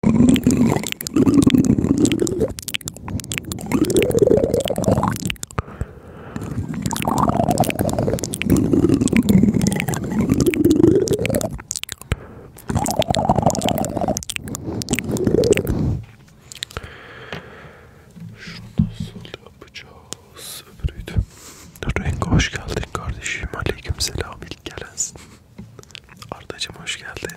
Şunu nasıl yapacağız? Öbürüydü. Renk hoş geldin kardeşim. Aleyküm selam. İlk gelensin. Ardacım hoş geldin.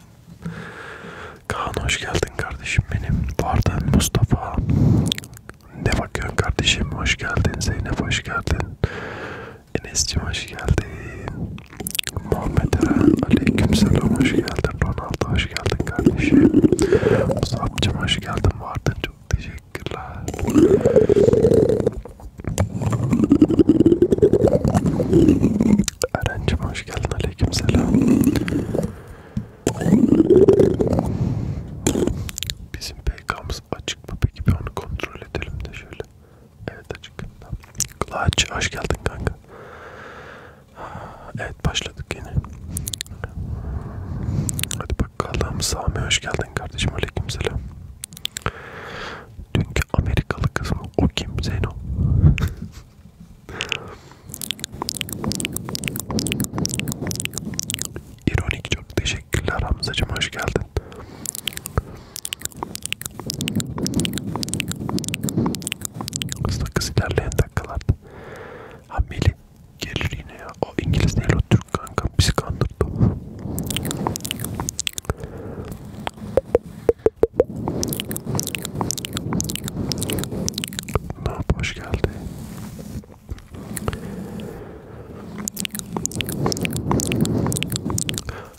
Kaan hoş geldin kardeşim benim. Vardan Mustafa. Ne bakıyorsun kardeşim? Hoş geldin. Zeynep hoş geldin. Enes'cim hoş geldin. Muhammed Eren aleykümselam hoş geldin. Ronaldo hoş geldin kardeşim. Musab'cım hoş geldin. Vardan çok teşekkürler. Eren'cim hoş geldin. Aleyküm selam. Bizim PK'mız açık mı peki? Bir onu kontrol edelim de şöyle. Evet açık. Kulaç hoş geldin kanka. Evet başladık yine. Hadi bakalım Sami hoş geldin kardeşim. Aleyküm selam. Dünkü Amerikalı kız mı? O kim? Zeno. İronik çok teşekkürler Hamzacım hoş geldin. Hızlı kız ilerleyen dakikalarda. Ha Melih gelir yine ya. O İngiliz değil o Türk kanka bizi kandırdı. Nap hoş geldi.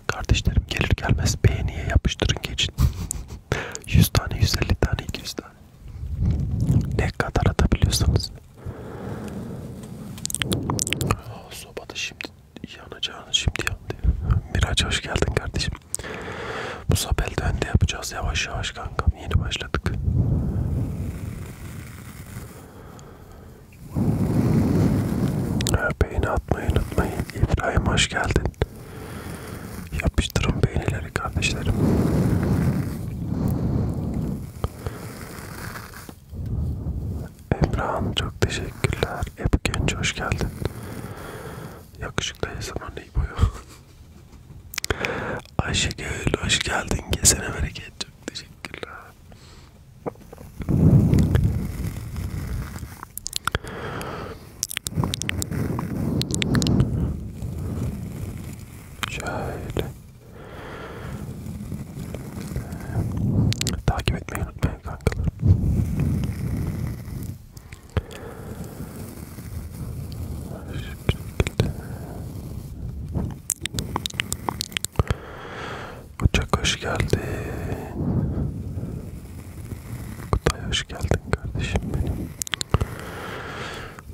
Kardeşlerim gelir gelmez beğeniye yapıştırın geçin. 100 tane, 150 tane, 200 tane. Ne kadar atabiliyorsanız. Sobada şimdi yanacağını şimdi yandı. Miraç hoş geldin kardeşim. Bu sabel dönde yapacağız yavaş yavaş kankam. Yeni başladık. Beğeni atmayı unutmayın. İbrahim hoş geldin. Yapıştırın beğenileri kardeşlerim. Emrah'ın çok teşekkürler. Hep genç hoş geldin. Yakışıklı zaman neyi boyu? Ayşegül hoş geldin. Kesene bereket. Çok teşekkürler. Şöyle takip etmeyi unutmayın kankalarım. Uçak hoş geldin. Kutay hoş geldin kardeşim benim.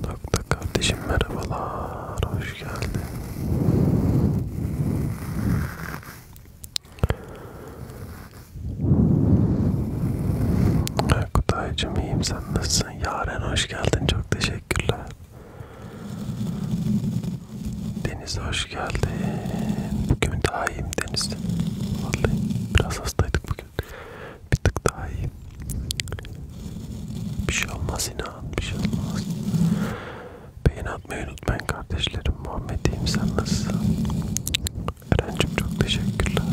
Nokta kardeşim merhabalar. Hoş geldin. Kutaycım iyiyim sen nasılsın? Yaren hoş geldin çok teşekkürler. Deniz hoş geldin. Bugün daha iyiyim Deniz. Vallahi biraz hastaydık bugün. Bir tık daha iyiyim. Bir şey olmaz inan bir şey olmaz. Beğen atmayı unutmayın kardeşlerim. Muhammed'im sen nasılsın? Eren'cim çok teşekkürler.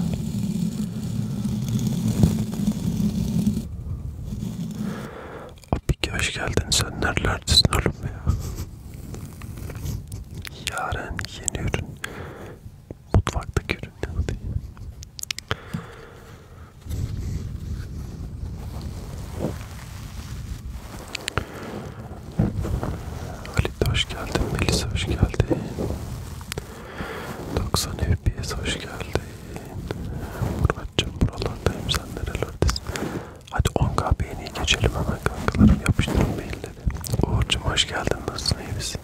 Abi hoş geldin. Sen nerelerdesin oğlum ya? Yaren yeni ürün. Mutfaktaki ürün. Ali hoş geldin, Melis hoş geldin. 90 FPS hoş geldin. Muratcığım buralardayım sen nerelerdesin? Hadi 10k beğeni geçelim hemen kankalarım yapıştırın mailleri. Uğur'cum hoş geldin nasılsın iyi misin?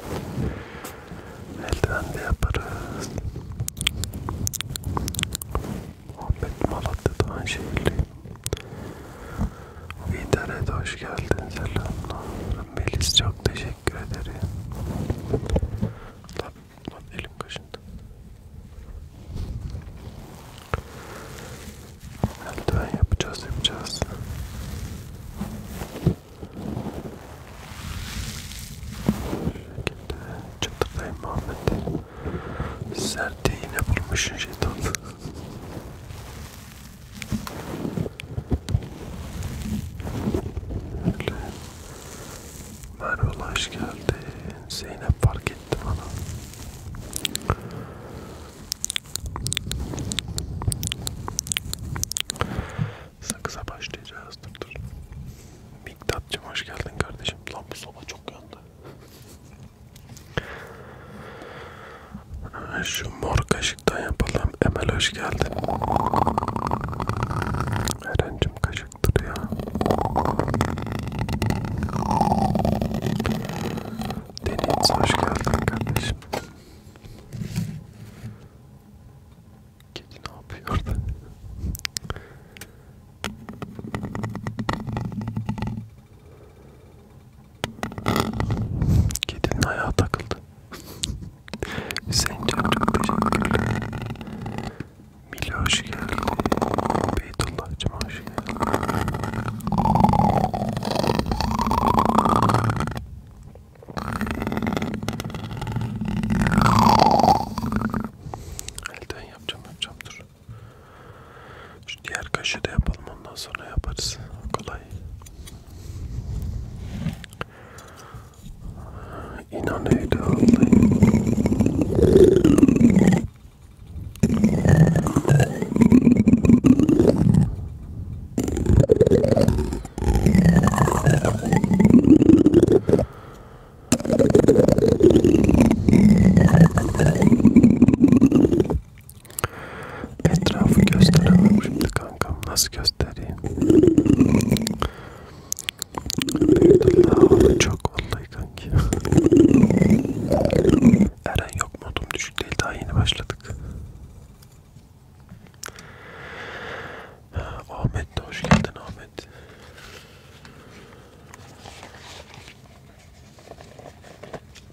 Elden de yaparız. Muhabbet Malatya'da Anşehir'liyim. İnternete hoş geldin selamlar. Melis çok teşekkür ederim. Lan, lan elim kaşındı. Eldiven yapacağız yapacağız. Şekilde çıtırdayım Muhammed. Sertliği yine bulmuşsun şeytan. Öyle. Merve hoş geldi. Zeynep fark etti bana. Sakıza başlayacağız. Dur dur. Miktat'cım hoş geldin kardeşim. Lan bu soba çok yandı. Şu mor kaşıktan yapalım. Emel hoş geldin. Erencim kaşıktır ya. Deniz hoş geldin kardeşim. Kedi ne yapıyor orada? Kedinin ayağı takıldı. Hüseyin Can çok teşekkürler. Mili hoş geldin. Beytullah'cım hoş geldin. Elden yapacağım yapacağım dur. Şu diğer kaşı da yapalım ondan sonra yaparız. Kolay. İnanıyordu vallahi. Etrafı gösteremem şimdi kankam. Nasıl göstereyim? Büyük çok vallahi kanki. Eren yok modum düşük değil daha yeni başladık. Ahmet de hoş geldin Ahmet.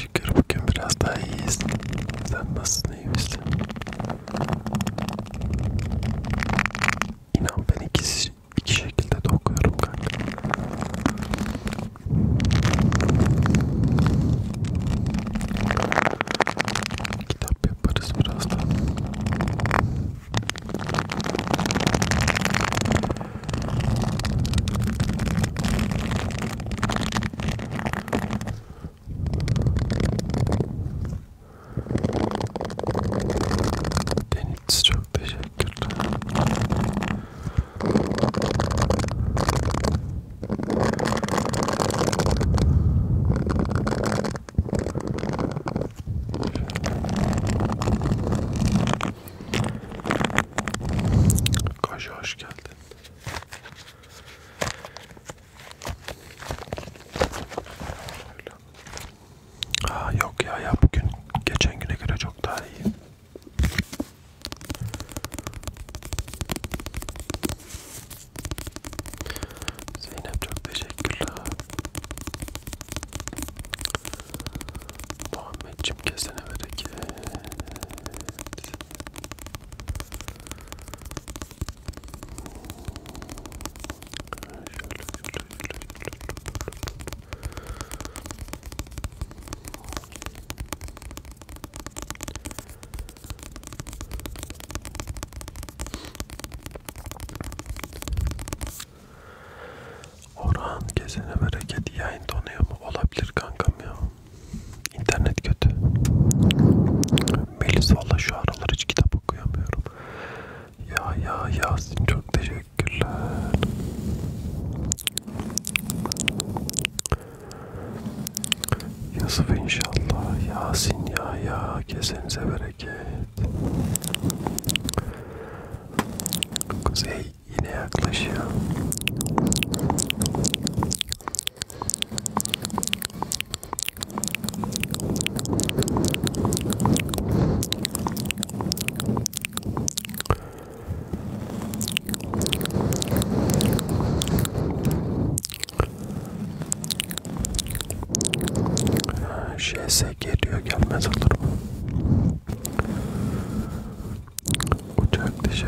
Şükür bugün biraz daha iyiyiz. Sen nasılsın iyi misin? İnan ben iki, iki şekilde de okuyorum kanka. Kitap yaparız birazdan. Deniz çok teşekkürler. Kaşı hoş geldin. Aa, yok ya ya bugün geçen güne göre çok daha iyi. Zeynep çok teşekkürler. Muhammedciğim kesene bereket. Orhan gezene bereket yayın donuyor mu? Olabilir kankam ya. İnternet kötü. Melis valla şu aralar hiç kitap okuyamıyorum. Ya ya Yasin çok teşekkürler. Yusuf inşallah. Yasin ya ya kesenize bereket. Kuzey yine yaklaşıyor. JS geliyor gelmez olur mu? Uçak dışı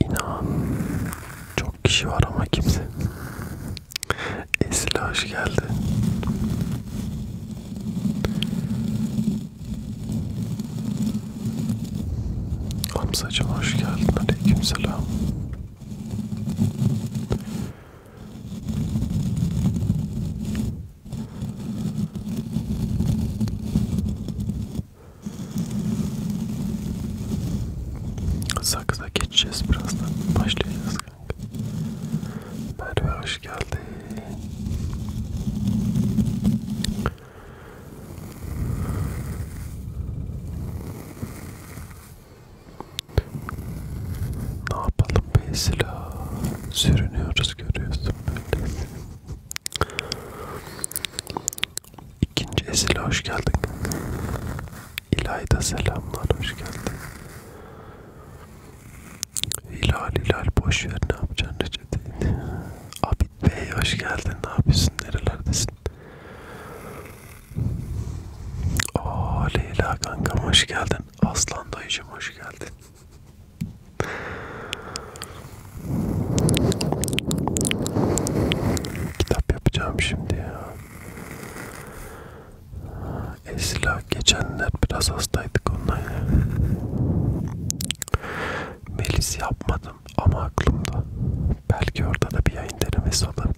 İnan çok kişi var ama kimse. Esile hoş geldi. Hamzacım hoş geldin. Aleykümselam. Sakıza geçeceğiz birazdan. Başlayacağız kanka. Merve hoş geldin. Ne yapalım Beyzila? Sürünüyoruz görüyorsun böyle. İkinci Esile hoş geldin. İlayda selamlar hoş geldin. Hilal Hilal boş ver ne yapacaksın reçeteyi. Abid Bey hoş geldin ne yapıyorsun nerelerdesin? Aa Leyla kankam hoş geldin. Aslan dayıcım hoş geldin. Kitap yapacağım şimdi ya. Esra geçenler biraz hastaydık onunla ya. Melis yapmadım ama aklımda. Belki orada da bir yayın denemesi olabilir.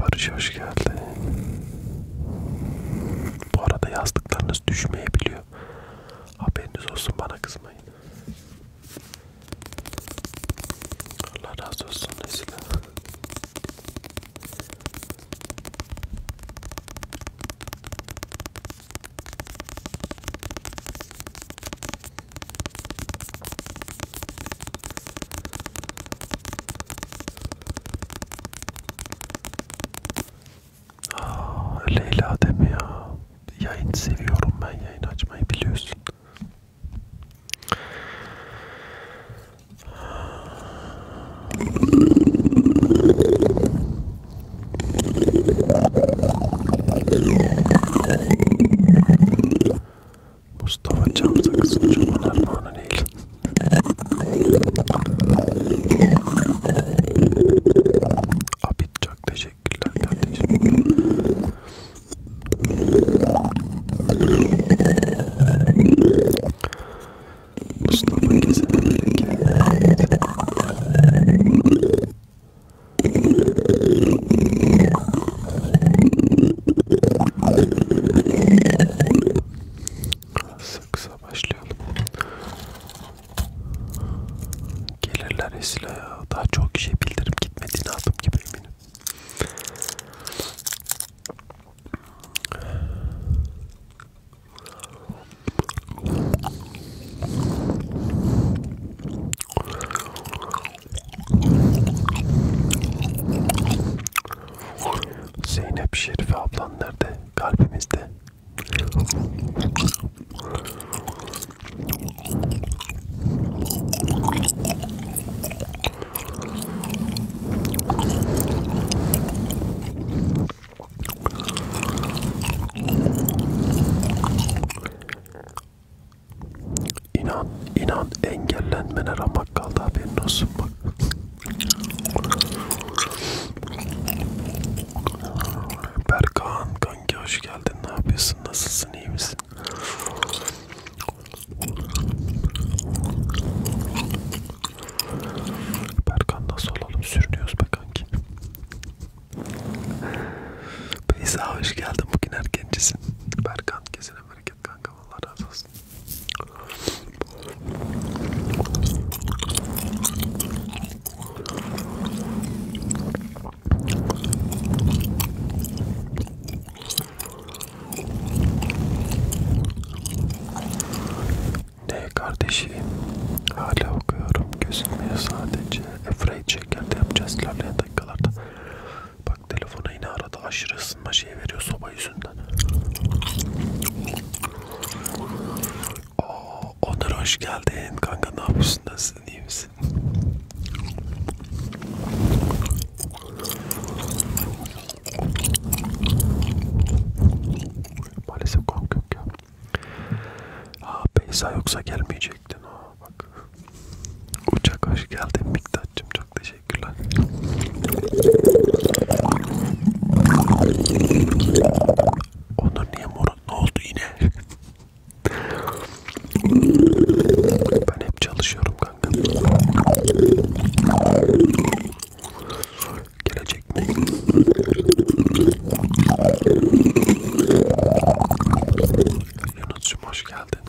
Barış hoş geldin. Bu arada yazdıklarınız düşmeyebiliyor. Haberiniz olsun bana kızmayın. Allah razı olsun Nesile. Aa, ah, Leyla deme ya. Yayın seviyorum ben. Yayın açmayı biliyorsun. Mustafa Cam Sakız'ın çoban armağanı değil. Abi çok teşekkürler kardeşim. Mustafa Gezen'deki Kısa kısa başlayalım. Gelirler Esra ya. Daha çok kişiye bildirim gitmediğini adım gibi eminim. Zeynep Şerife ablan nerede? Kalbimizde. İnan, inan engellenmene ramak kaldı haberin olsun bak. Berkan kanki hoş geldin. Ne yapıyorsun? Nasılsın? İyi misin? Berkan nasıl olalım? Sürünüyoruz be kanki. Beyza hoş geldin. Bugün erkencisin. Berkan kesin Amerika ettik kanka Allah razı olsun. Ne kardeşim hala okuyorum gözükmüyor sadece Efraid şekerde yapacağız ilerleyen dakikalarda Bak telefona yine arada aşırı ısınma şey veriyor soba yüzünden ağzımdan. Oo, Onur hoş geldin. Kanka ne yapıyorsun? Nasılsın? İyi misin? Maalesef kanka yok ya. Ha Beyza yoksa gelmeyecektin. Ha, bak. Uçak hoş geldin Miktat'cığım. Çok teşekkür Teşekkürler. Onur niye morun? Ne oldu yine? ben hep çalışıyorum kanka. Gelecek mi? Yunus'cum hoş geldin.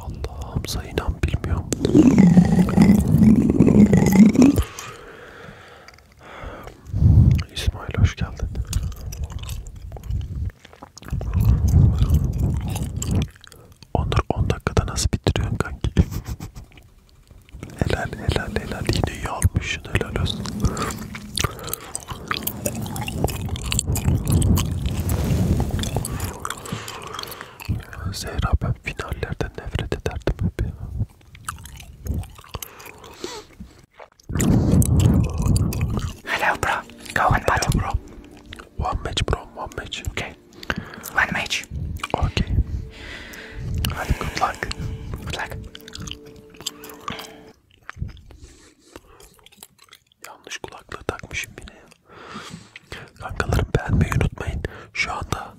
Allah'ım sayınan bilmiyorum. İsmail hoş geldin. Onur 10 dakikada nasıl bitiriyorsun kanki? helal helal helal yine iyi almışsın helal olsun. Hello bro. Go and battle bro. One match bro, one match. Okay. One match. Okay. good luck. Good luck. Yanlış kulaklığı takmışım yine. Kankalarım beğenmeyi unutmayın. Şu anda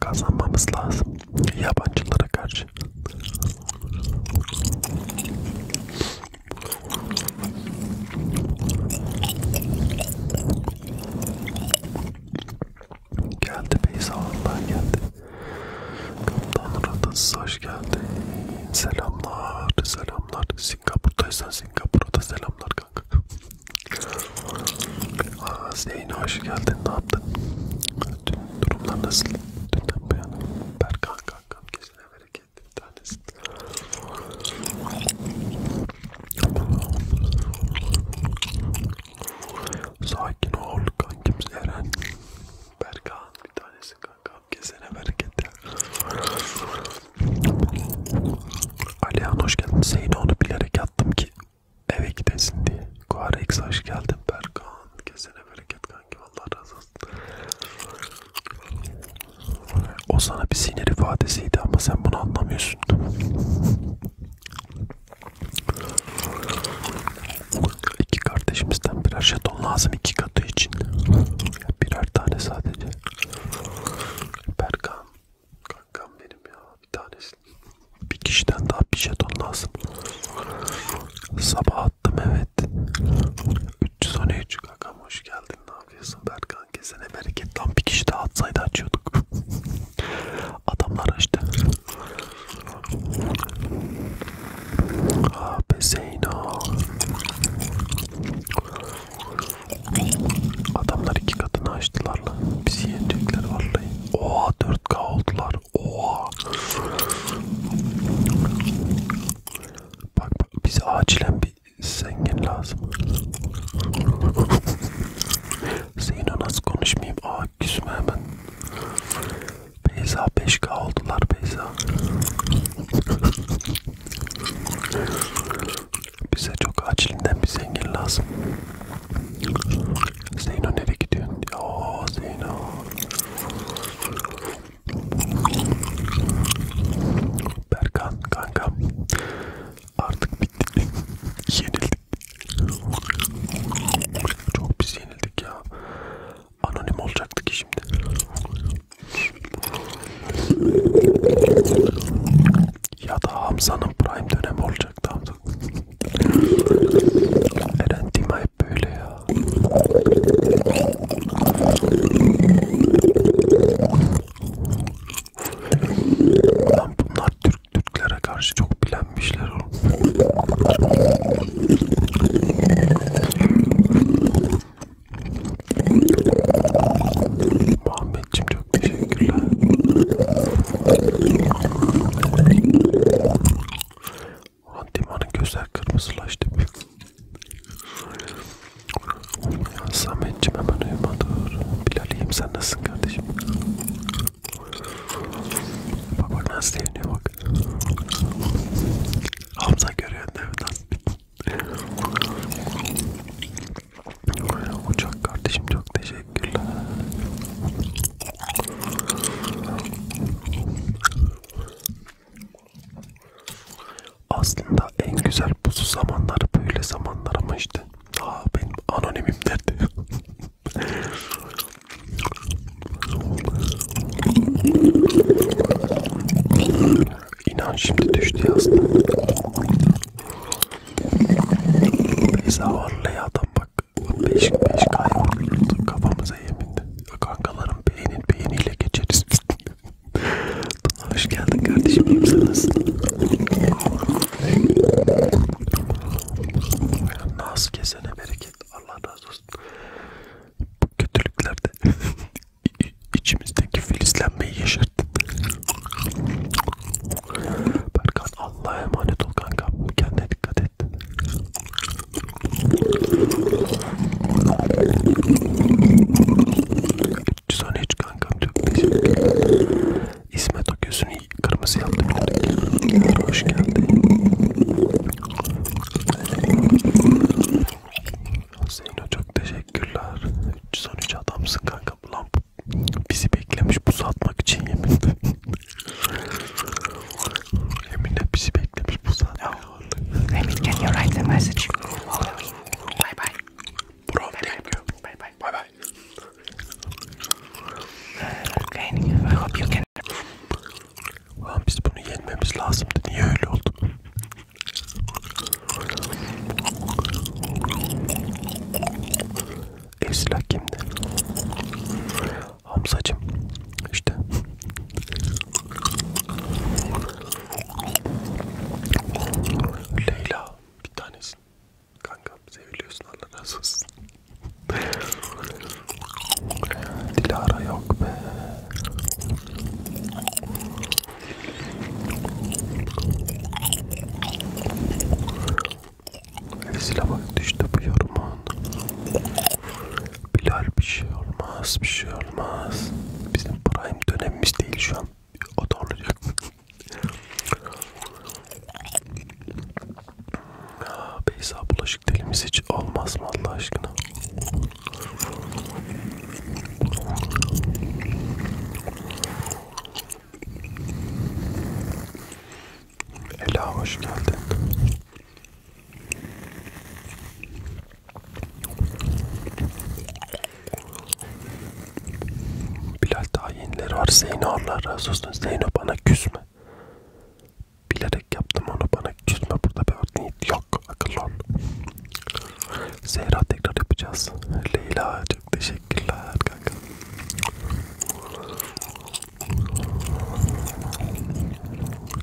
kazanmamız lazım yabancılara karşı. Geldi Beyza Allah geldi. Kaptan Radası hoş geldin. Selamlar, selamlar. Singapur'daysan Singapur'a da selamlar kanka. Aa, Zeyn hoş geldin. Ne yaptın? Dün durumlar nasıl? Dünden bu yana. Berkan kankam kesine bereket. Bir tanesi. Sakin ol kankim Eren. Berkan bir tanesi kanka. Kesene bereket ya. Alihan hoş geldin. Seyine onu bilerek attım ki eve gidesin diye. Kuarex hoş geldin Berkan. Kesene bereket kanki. Allah razı olsun. O sana bir sinir ifadesiydi ama sen bunu anlamıyorsun. İki kardeşimizden birer jeton lazım iki katı için. Birer tane sadece. Berkan. Kankam benim ya. Bir tanesi. Bir kişiden daha bir jeton lazım. Sabah attım evet. 313 kankam hoş geldin. Ne yapıyorsun Berkan? Kesene bereket. Tam bir kişi daha atsaydı açıyorduk. Adamlar açtı. İşte. Abi Zeyno. Adamlar iki katını açtılar lan. Bizi yenecekler vallahi. Oha 4K oldular. Oha. Bak bak bize acilen bir zengin lazım. Zeyno nasıl konuşmayayım? Aa küsme hemen. Beyza 5K oldular Beyza. Bize çok acilinden bir zengin lazım. Zeyno nereye gidiyorsun? Ooo Zeyno. Berkan kankam. Artık bittik. Yenildik. Çok biz yenildik ya. Anonim olacaktı ki şimdi. Ya da Hamza'nın prime dönemi olacaktı Hamza. Eren Dima hep böyle ya. Lan bunlar Türk Türklere karşı çok bilenmişler oğlum. Muhammedciğim çok teşekkürler. Antimanın gözler kırmızılaştı. Ya Sametciğim hemen uyumadı. Bilal'iyim sen nasılsın kardeşim? Bak bak nasıl seviniyor bak. Hamza görüyor değil mi lan? Uçak kardeşim çok teşekkürler. Aslında en güzel buzu zamanları böyle zamanlar ama işte. Aa benim anonimim derdi. İnan şimdi düştü aslında. Beyza Varlı'ya adam bak. 5 5 kayboluyordu kafamıza yemindi. Kankalarım beğenin beğeniyle geçeriz. Hoş geldin kardeşim. İyiyim Naz kesene bereket. Allah razı olsun bu kötülüklerde içimizdeki filizlenmeyi yaşarttın. Berkan Allah'a emanet ol kanka. Kendine dikkat et. Sana hiç kankam çok teşekkür ederim. İsmet o gözünü kırmızı yaptım. Hoş geldin. Zeyno çok teşekkürler. 313 adamsın kanka. Ulan bizi beklemiş buz atmak için yeminle. yeminle bizi beklemiş buz atmak Emin can you write the message? Bye bye. Bro bye thank bye. you. Bye bye. Bye bye. Uh, okay, I hope you can. Ulan biz bunu yenmemiz lazımdı. Niye öyle oldu? Ev silah kimde? Hamzacım. İşte. Leyla bir tanesin. Kanka seviliyorsun Allah razı olsun. Dilara yok be. Esile bak düştü bu yorumun. Bilal bir şey olmaz, bir şey olmaz. Bizim prime dönemimiz değil şu an. O da olacak. Beyza Bulaşık telimiz hiç olmaz mı Allah aşkına? Ela hoş geldin. Bilal daha yenileri var. Zeyno Allah razı olsun. Zeyno bana küsme. Bilerek yaptım onu bana küsme burada bir niyet yok akıllı ol. Zehra tekrar yapacağız. Leyla çok teşekkürler kanka.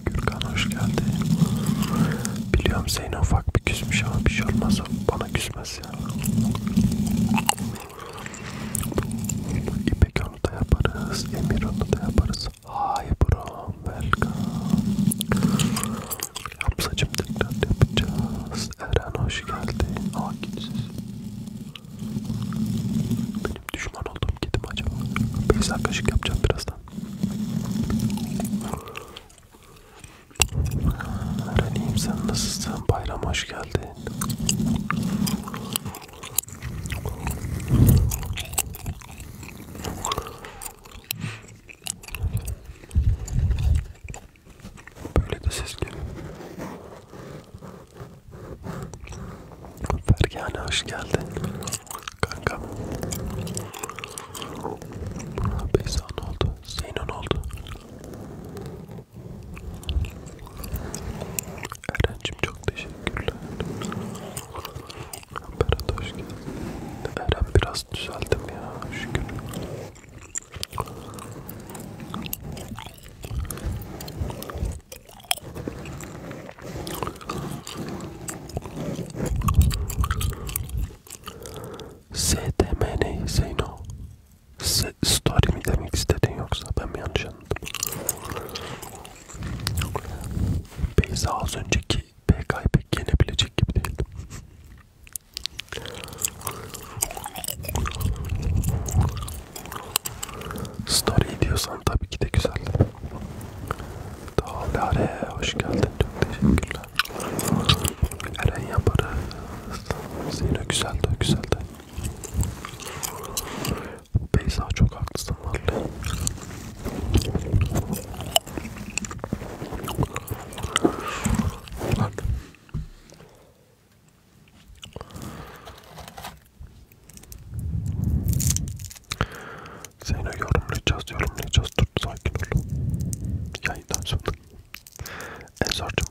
Gürkan hoş geldin. Biliyorum Zeyno ufak bir küsmüş ama bir şey olmaz bana küsmez ya. İpek onu da yaparız, Emir onu da yaparız. Hi bro, welcome. Yapsacım tekrar yapacağız. Eren hoş geldin. Aa gidsiz. Benim düşman olduğum gidim acaba. Beyza kaşık yapacağım birazdan. Eren iyiyim sen nasılsın? Bayram hoş geldin. Böyle de ses geliyor. Fergane hoş geldin. Kanka. Beyza ne oldu? Zeyno ne oldu? Erencim çok teşekkürler. Berat hoş geldin. Eren biraz düzeldim ya şükür. STM ne Zeyno? S story mi demek istedin yoksa ben mi yanlış anladım? Beyza az önceki PK'yı pek yenebilecek gibi değildim. Story diyorsan tabii ki de güzel. Dağlare hoş geldin. Çok teşekkürler. Eren yaparız. Zeyno güzeldi, güzeldi. Beyza çok haklısın lazım vallahi. Lan. Seni yorumlayacağız, yorumlayacağız. Dur sakin ol. Yayından sonra. Ensar'cım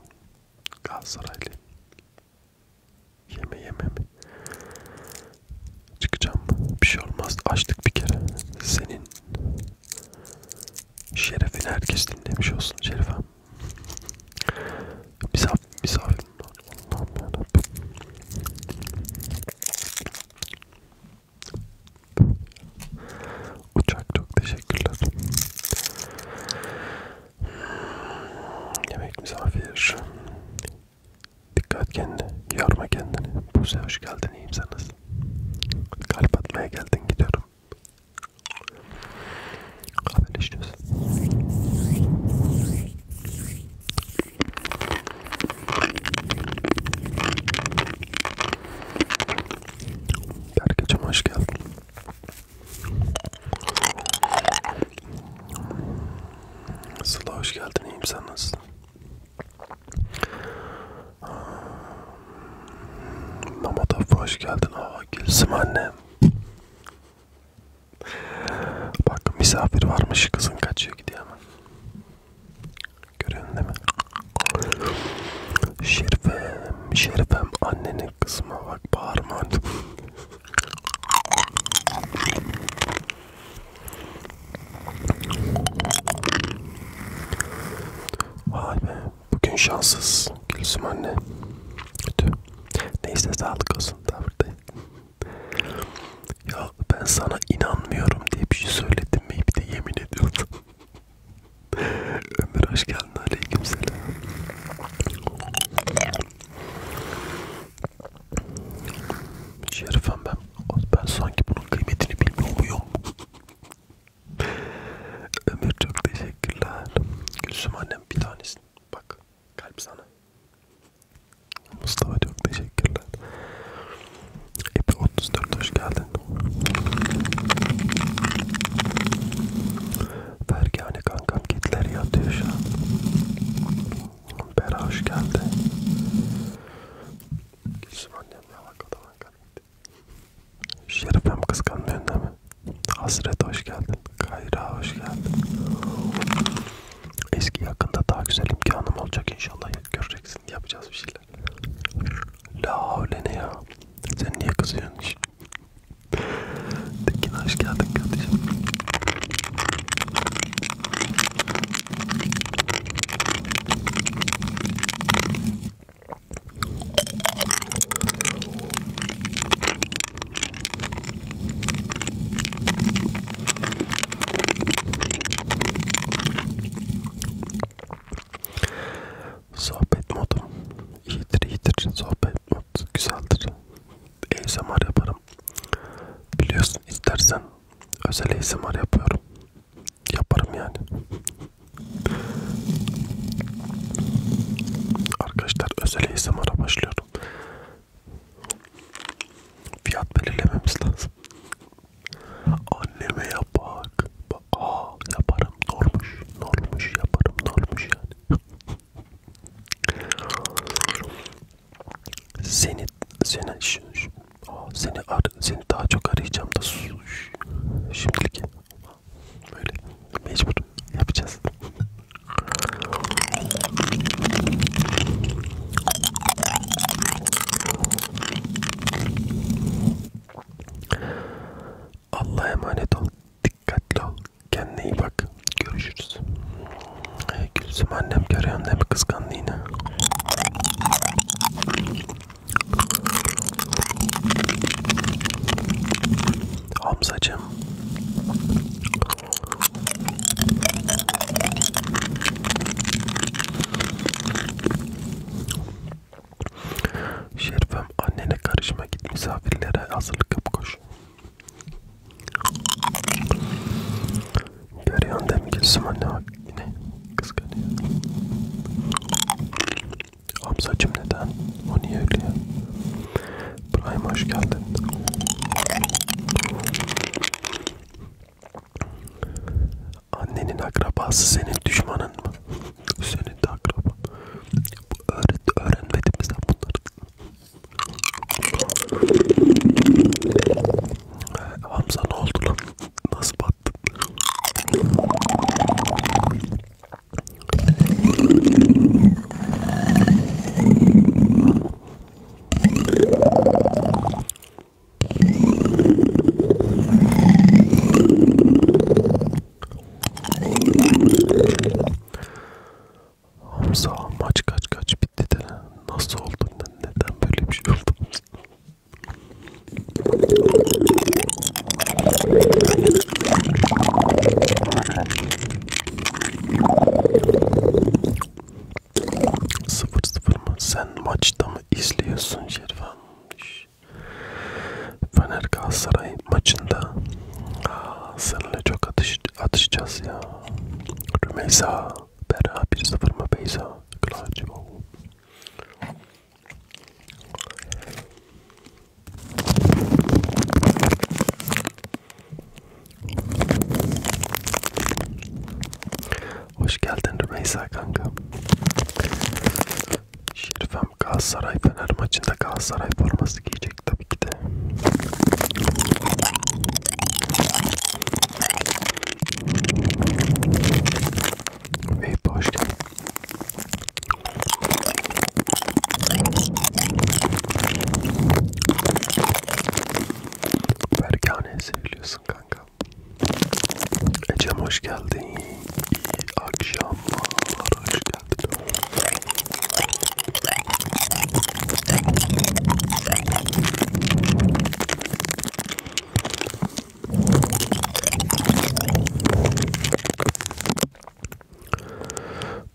Galatasaraylı. Yeme yeme mi? Çıkacağım. Bir şey olmaz. Açtık bir kere. Senin şerefini herkes dinlemiş olsun Şerife. Misafir, misafirin Allah'ım yarabbim. Uçak çok teşekkürler. Yemek misafir. Dikkat kendine, yorma kendini. Buse hoş geldin, iyiyim sen nasılsın? Kalp atmaya geldin, gidiyorum. Haberleşiyoruz. Berkeciğim hoş geldin. Sıla hoş geldin, iyiyim sen nasılsın? Mehmet abi hoş geldin. Aa, Gülsüm annem. Bak misafir varmış kızın kaçıyor gidiyor hemen. Görüyorsun değil mi? Şerifem, Şerifem annenin kızma bak bağırma. Vay be. Bugün şanssız Gülsüm anne. Kötü. Neyse sağlık olsun tavrı Ya ben sana inanmıyorum diye bir şey söyledim mi? Bir de yemin ediyordum. Ömür hoş geldin. Aleykümselam. Şerifem ben ben sanki bunun kıymetini bilmiyor muyum? Ömür çok teşekkürler. Gülsüm annem bir tanesin. Bak kalp sana. Mustafa çok teşekkürler. Epi 34 hoş geldin. Fergane kankam kitler yatıyor şu an. Bera hoş geldin. Gülsüm annemle alakalı ben kanıydı. Şerifem kıskanmıyorsun değil mi? Hasret hoş geldin. Kayra hoş geldin. Eski yakında daha güzel imkanım olacak inşallah. Göreceksin yapacağız bir şeyler. La öyle ne ya? Sen niye kızıyorsun hiç? Tekin hoş geldin kardeşim. Sohbet modu iyidir iyidir sohbet modu güzeldir. ASMR yaparım. Biliyorsun istersen özel ASMR yapıyorum yaparım yani. Arkadaşlar özel ASMR'a başlıyorum. Fiyat belirlememiz lazım. Anneme yap bak. Aa yaparım. Normuş. Normuş yaparım. Normuş yani. Seni, seni, şu, şu, seni ar seni daha çok arayacağım da sus. Şimdilik böyle mecbur yapacağız. Allah'a emanet ol. Dikkatli ol. Kendine iyi bak. Görüşürüz. Ee, Gülsüm annem görüyor annemi kıskandı yine. Hamzacığım. Şerifem annene karışma git misafirlere hazırlık yap koş. Görüyorsun değil mi Gülsüm anne bak yine kıskanıyor. Hamzacım neden? O niye öyle ya? Prime hoş geldin. Annenin akrabası senin düşmanın mı? Senin de akraba. Bu öğret öğrenmedim bizden bunları. Ee, Hamza ne oldu lan? Nasıl bak? Hamza maç kaç kaç bitti de nasıl oldu neden böyle bir şey oldu Sıfır sıfır mı? Sen maçta mı izliyorsun Şervan? Fener Galatasaray maçında Aa, seninle çok atış, atışacağız ya. Rümeysa, Bera 1-0 mı Beyza? Kılancı Hoş geldin Rümeysa kanka. Şerifem Galatasaray Fener maçında Galatasaray forması giyecek tabii ki de. Vape hoş geldin. Berkane'ye seviliyorsun kanka. Ecem hoş geldin. İyi akşamlar. Hoş geldin.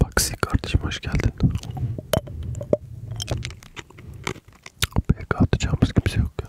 Baksi kardeşim hoş geldin. PK atacağımız kimse yok ya.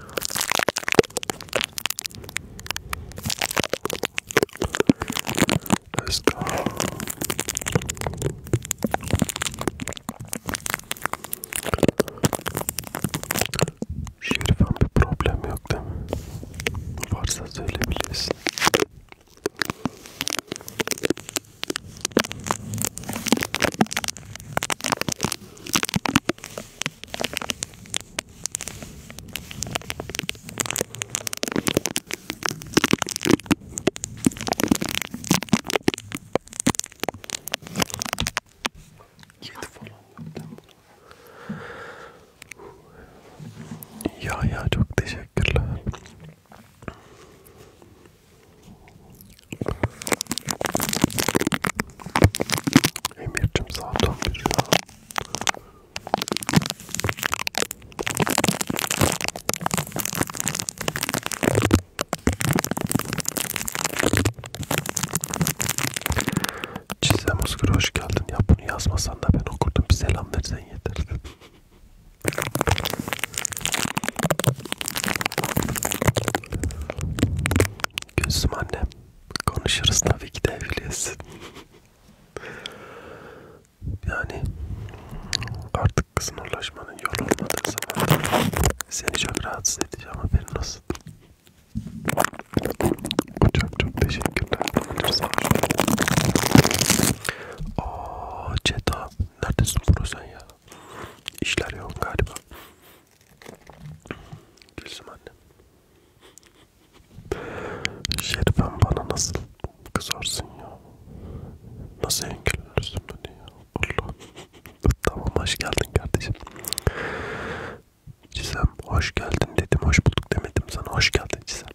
Let's go. Şerif'in bir problem yok değil mi? Varsa söyleyebilirsin. Yedi falan Ya ya çok teşekkürler. Emircim saat 11 ya. Çizem Özgür hoş geldin. Ya bunu yazmasan da ben okurdum. Bir selam versen yeter. Gözüm annem. Konuşuruz tabii ki de evliyiz. yani artık sınırlaşmanın yolu olmadığı zaman seni çok rahatsız edeceğim haberin olsun. Çok çok teşekkürler. Ooo Ceta neredesin bro sen ya? İşler yok galiba. Gülsüm annem. Şerifem bana nasıl kızarsın ya? Nasıl engellersin beni ya? Allah. tamam hoş geldin kardeşim. Cizem hoş geldin dedim. Hoş bulduk demedim sana. Hoş geldin Cizem.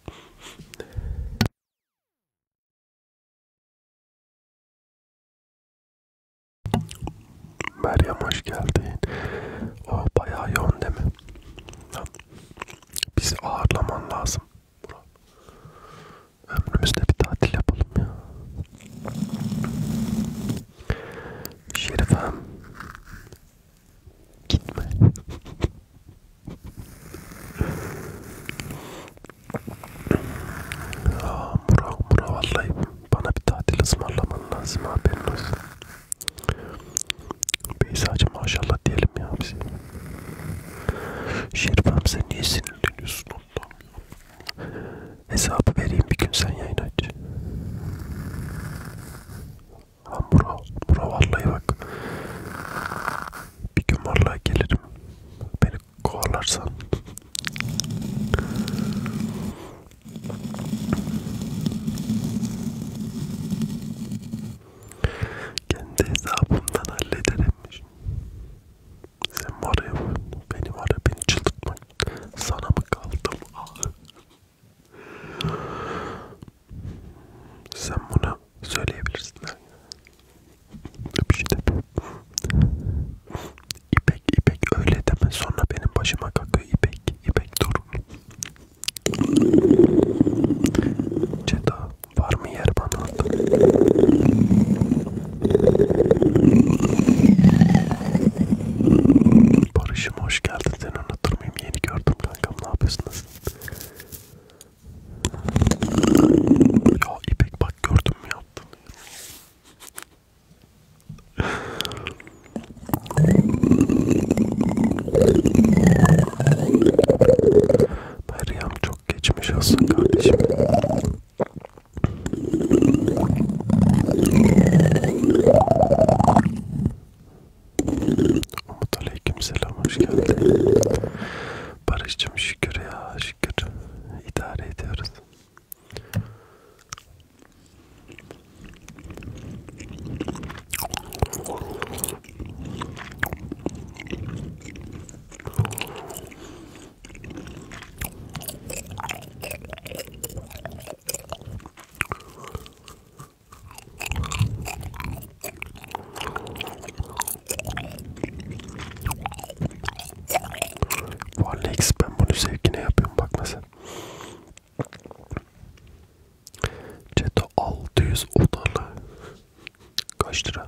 Meryem hoş geldin. O oh, bayağı yoğun değil mi? Bizi ağırlaman lazım. Burak. Ömrümüzde bir tatil yapalım ya. Şerifem. Gitme. Aa, Burak, Burak vallahi bana bir tatil ısmarlaman lazım haberin olsun. Beyza'cı maşallah diyelim ya biz. Şerifem sen niye sinirleniyorsun ondan ya? Hesabı vereyim bir gün sen yayın aç. Ha bura, bura vallahi bak. Bir gün vallahi gelirim. Beni kovalarsan. Kendi hesabımdan hallederim. Sen var ya beni var ya beni çıldırtma. Sana mı kaldım? Ah. Sen bunu söyleyebilirsin. Bir şey deme. İpek, İpek öyle deme. Sonra benim başıma kakıyor İpek. İpek dur. Ceda var mı yer bana? Barış'ım hoş geldin seni unutur muyum? Yeni gördüm kankam ne yapıyorsunuz? Ya İpek bak gördüm mü yaptın? Meryem çok geçmiş olsun kardeşim. Umut aleyküm selam hoş geldin. Barış'cım şükür ya şükür idare ediyoruz. Vallahi ben bunu sevgine yapıyorum bak nasıl. Ceto 600 odalı. Kaç lira?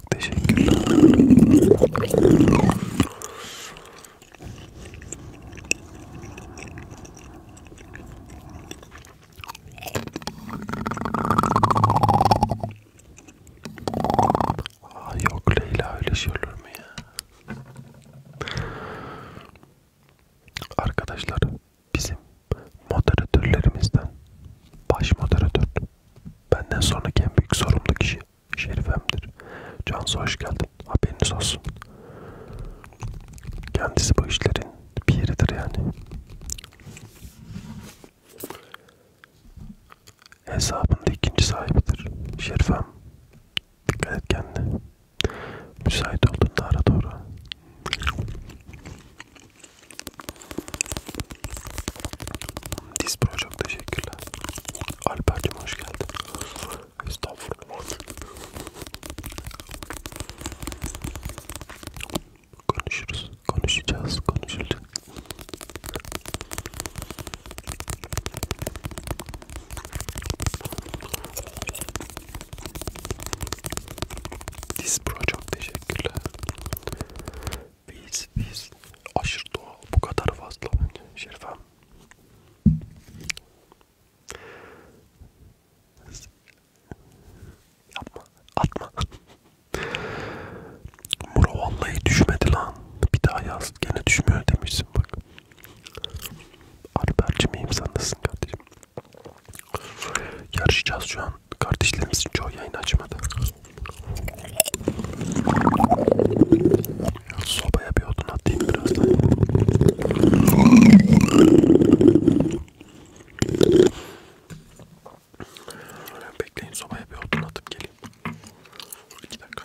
Çok teşekkürler. Aa, ah, yok Leyla öyle şey olur mu ya? Arkadaşlar bizim moderatörlerimizden baş moderatör Benden sonraki en büyük sorumlu kişi Şerifem'dir. Cansu hoş geldin. Haberiniz olsun. Kendisi bu işlerin biridir yani. Hesabında ikinci sahibidir. Şerifem. Dikkat et kendine. Müsait olduğunda ara doğru. Dispro çok teşekkürler. Alper'cim hoş geldin. Estağfurullah. Konuşuruz, konuşacağız, konuşulacak. Dispro çok teşekkürler. Biz biz aşırı doğal bu kadar fazla bence Şerifem. Yapma, atma. Muro vallahi düşmedi lan. Bir daha yaz gene düşmüyor demişsin bak. Alper'cim miyim sen nasılsın kardeşim? Yarışacağız şu an. Kardeşlerimizin çoğu yayın açmadı. Sobaya bir odun atayım birazdan. Bekleyin sobaya bir odun atıp geleyim. İki dakika.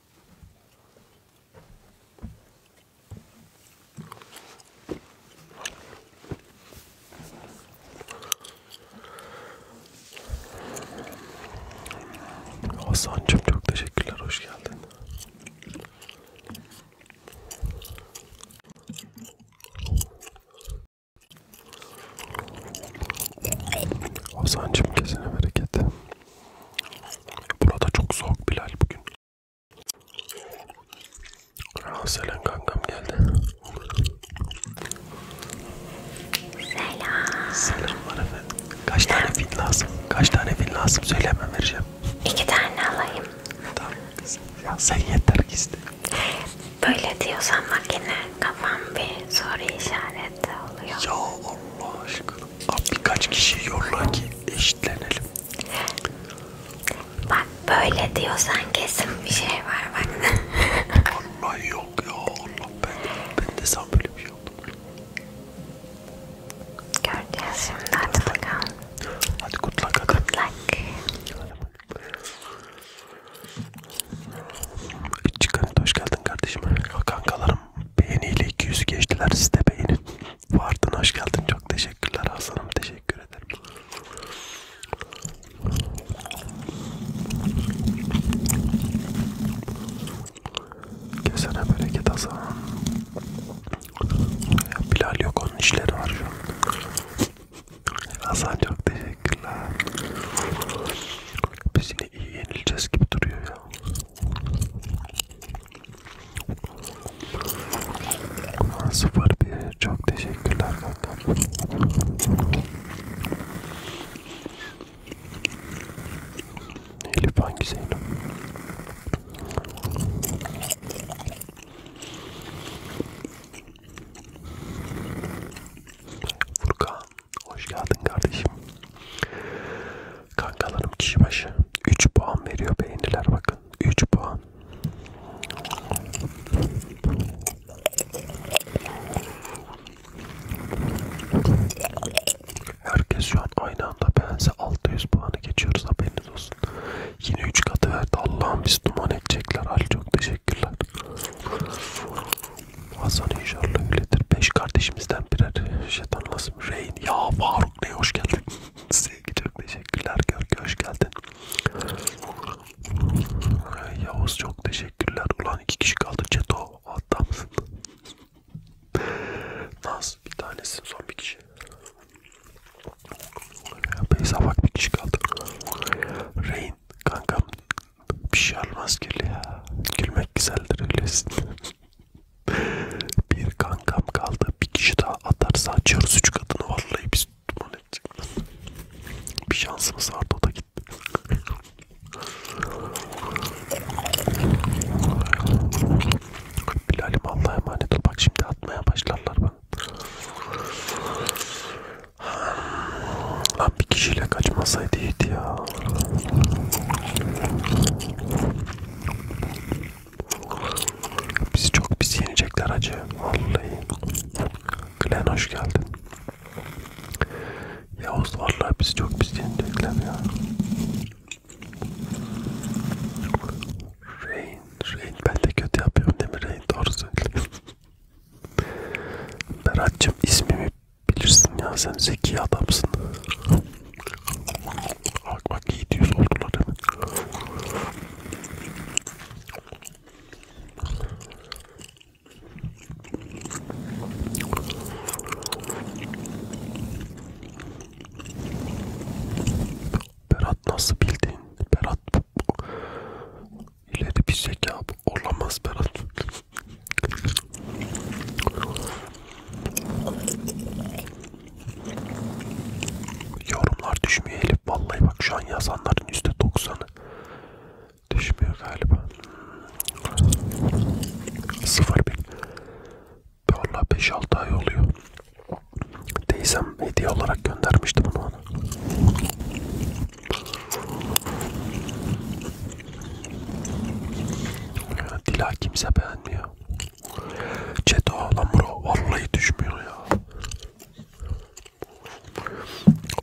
Hasan'cığım çok teşekkürler, hoş geldin. Hasan'cığım kesene bereket. Burada çok soğuk Bilal bugün. Aa, selam kankam geldi. Selam. Selamlar efendim. Kaç tane fil lazım? Kaç tane fil lazım? Söyle hemen vereceğim. İki tane alayım. Tamam. Ya sen yeter ki iste. Böyle diyorsan makine kafam bir soru işareti oluyor. Ya Allah aşkına. Abi birkaç kişi yolla ki eşitlenelim. Bak böyle diyorsan kesin bir şey var bak. Allah yok ya Allah ben de, ben de sen böyle bir şey oldu. Göreceğiz şimdi hadi bakalım. Hadi kutlak hadi. Kutlak. Çıkarın hoş geldin kardeşim. Kankalar Hasan'ım beğeniyle 200 geçtiler siz de beğenin. Vardın hoş geldin çok teşekkürler Hasan'ım teşekkür ederim. Kesene bereket Hasan. Bilal yok onun işleri var şu an. Hasan çok teşekkürler. Biz yine iyi yenileceğiz gibi duruyor ya. Sıfır bir çok teşekkürler kankam. Elif hangi Zeynep? Furkan hoş geldin kardeşim. Kankalarım kişi başı 3 puan veriyor beğeniler bakın 3 puan. Herkes şu an aynı anda beğense 600 puanı geçiyoruz haberiniz olsun. Yine 3 katı verdi Allah'ım biz duman edecekler Ali çok teşekkürler. Hasan inşallah öyledir. 5 kardeşimizden birer şeytanla Yılmaz, Rain. Ya Faruk Bey hoş geldin. Sevgi çok teşekkürler. Görgü hoş geldin. Yavuz çok teşekkürler. Ulan iki kişi kaldı. Ceto hatta mısın? Naz bir tanesin son bir kişi. Beyza bak bir kişi kaldı. Rain kankam bir şey almaz gül ya. Gülmek güzeldir öylesin bir kankam kaldı. Bir kişi daha atarsa açıyoruz üç katını. Vallahi biz duman edecek. Bir şansımız vardı o da gitti. Bilal'im Allah'a emanet ol. Bak şimdi atmaya başlarlar bana. Lan bir kişiyle kaçmasaydı iyiydi ya. Bizi çok pis yenecekler acı. Vallahi. Glen hoş geldin. Yavuz vallahi bizi çok pis yenecekler ya. Rain, Rain ben de kötü yapıyorum değil mi Rain? Doğru söylüyorsun. Berat'cığım ismimi bilirsin ya sen zeki adamsın. Bak bak 700 oldular hemen. Berat nasıl bildin? Berat ileri bir zeka olamaz Berat. Yorumlar düşmüyor Elif. Vallahi bak şu an yazanların %90'ı düşmüyor galiba. Sıfır bin. Valla 5-6 ay oluyor. Teyzem hediye olarak göndermişti bunu ona. Dila kimse beğenmiyor. Çeto lan bro vallahi düşmüyor ya.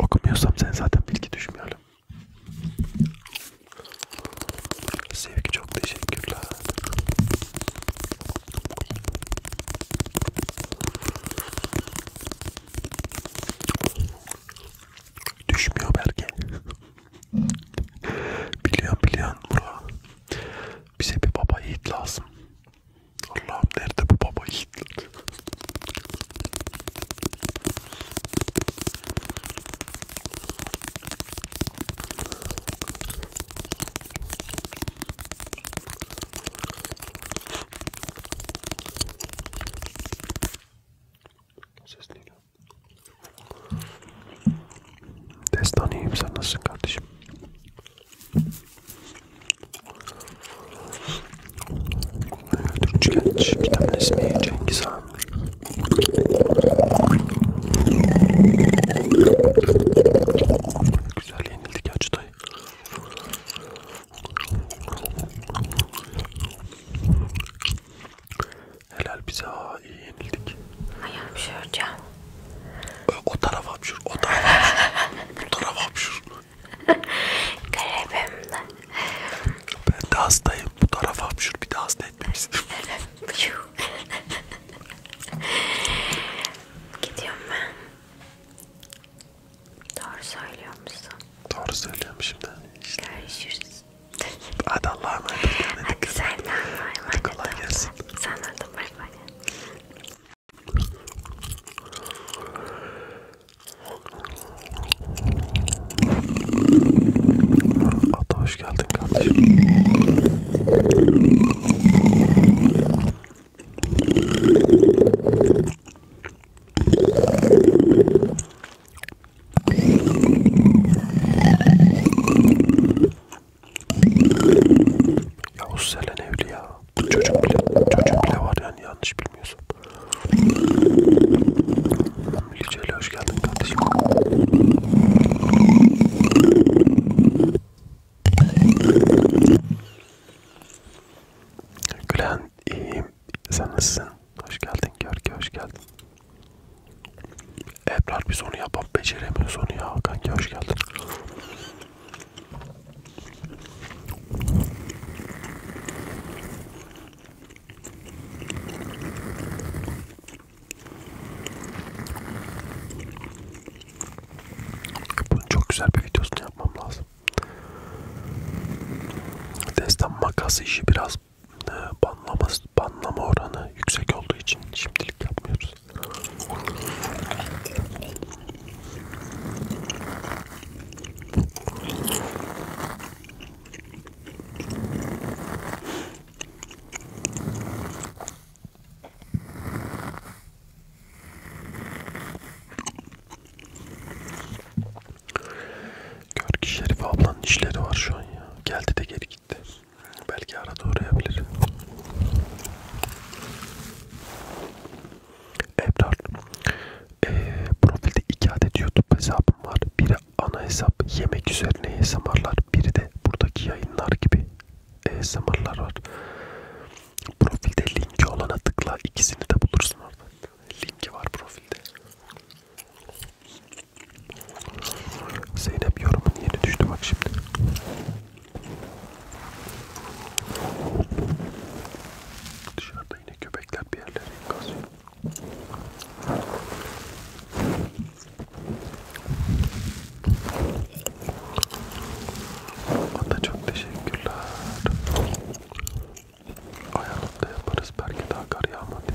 Okumuyorsam sen zaten bilgi düşmeyelim. Sevgi çok teşekkürler. Düşmüyor belki. Biliyorum biliyorum bura. Bize bir baba yiğit lazım. Allah'ım nerede bu baba yiğitler? Ses ne geliyor? Destan iyiyim sen nasılsın kardeşim? Türkçü genç bir tane ismi Cengiz Han. Güzel yenildik acı dayı. Helal bize ha iyi yenildik. Ay hapşıracağım. O taraf hapşır, o taraf hapşır. Bu taraf hapşır. Garibim de. Ben de hastayım. Bu taraf hapşır. Bir de hasta etmemiştim. Gidiyorum ben. Doğru söylüyor musun? Doğru söylüyorum şimdi. Görüşürüz. Hadi Allah'a emanet olun. Hadi sen de Allah'a emanet Kolay gelsin. Sen de bay bay. Ata hoş geldin kardeşim. Ya Selen evli ya. Çocuk bile, çocuk bile var yani yanlış bilmiyorsun. Lice'yle hoş geldin kardeşim. Gülen iyiyim. Sen nasılsın? Hoş geldin Görke, hoş geldin. Ebrar biz onu yapan beceremiyoruz onu ya. Kanki hoş geldin. Bunun çok güzel bir videosunu yapmam lazım. Destan makas işi biraz ee, banlama, banlama oranı yüksek olduğu için şimdilik yapmıyoruz. Görki Şerif ablanın işleri var şu an ya. Geldi de geri gitti. Belki arada uğrayabilir. Ebrar, e, profilde iki adet YouTube hesabım var. Biri ana hesap, yemek üzerine ASMR'lar. Biri de buradaki yayınlar gibi ASMR'lar var. Profilde linki olana tıkla. ikisini de bulursun orada. Linki var profilde. Zeynep yorumun yeni düştü bak şimdi. Dışarıda yine köpekler bir yerlere kazıyor. Ata çok teşekkürler. Ayarlıkta yaparız belki daha kar yağmadı.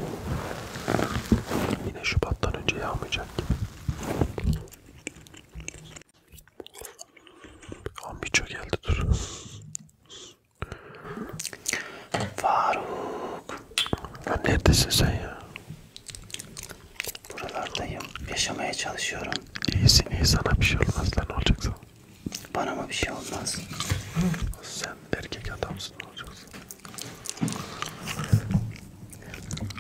Yine Şubat'tan önce yağmayacak gibi. Kombiço geldi dur. Faruk. Lan neredesin sen ya? Buralardayım. Yaşamaya çalışıyorum. İyisin iyi sana bir şey olmaz lan ne olacak sana? Bana mı bir şey olmaz? Sen erkek adamsın ne olacak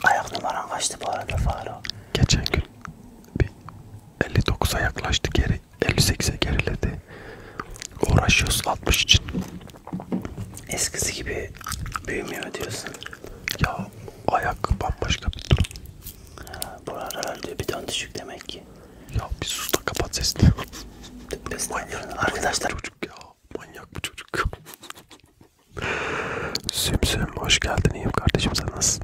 Ayak numaran kaçtı bu arada Faro? Geçen gün bir 59'a yaklaştı geri 58'e geriledi. Uğraşıyoruz 60 için. Eskisi gibi büyümüyor diyorsun. Ya ayak bambaşka bir durum. Ha, bu aralar diyor bir ton düşük demek ki. Ya bir sus da kapat sesini. Manyak. Arkadaşlar çocuk ya manyak bu çocuk. Sümsüm hoş geldin iyiyim kardeşim sen nasılsın?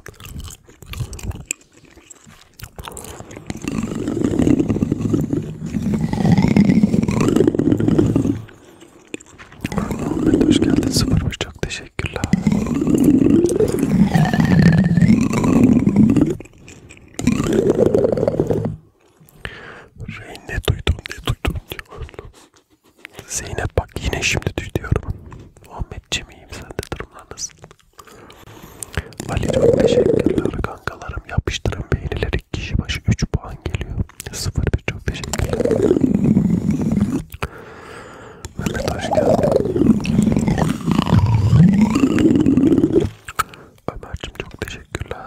Ahmet hoş geldin sıfırmış çok teşekkürler. Rey ne duydun ne duydun diyor. Zeynep bak yine şimdi düş diyorum. Muhammedciğim iyiyim sen de durumlar nasıl? Ali çok teşekkürler kankalarım. Yapıştırın beğenileri kişi başı 3 puan geliyor. 0-1 çok teşekkürler. Mehmet hoş geldin. Ömer'cim çok teşekkürler.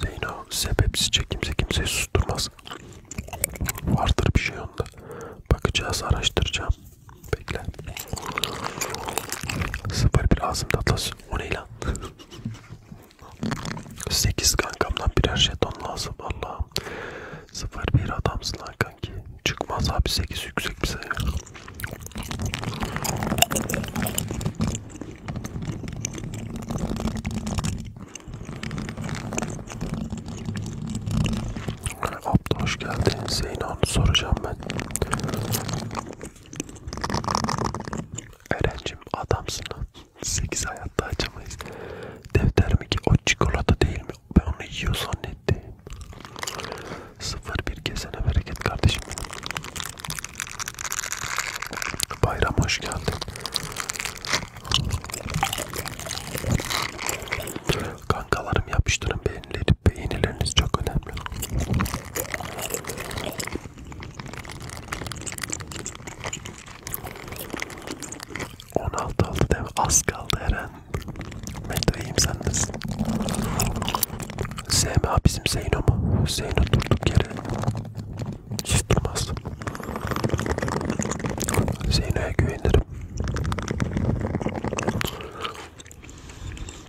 Zeyno sebepsizce kimse kimseyi susturmaz. Vardır bir şey onda. Bakacağız, araştıracağım. Bekle. Sıfır bir ağzım tatlı o ne lan? 8 kankamdan birer jeton lazım Allah'ım. 0-1 adamsın lan kanki. Çıkmaz abi 8 yüksek bize ya. Abla hoş geldin. Zeyno soracağım ben. Erencim adamsın lan. 8 hayatta açamayız. Defter mi ki o çikolata değil mi? Ben onu yiyor zannettim. Sıfır bir kesene bereket kardeşim. Bayram hoş geldin. Kankalarım yapıştırın beğenileri. Beğenileriniz çok önemli. 16 oldu değil mi? Az kaldı Eren. Metroyim sendesin. SMA bizim Zeyno mu? Zeyno durduk yere. Hiç durmaz. Zeyno'ya güvenirim.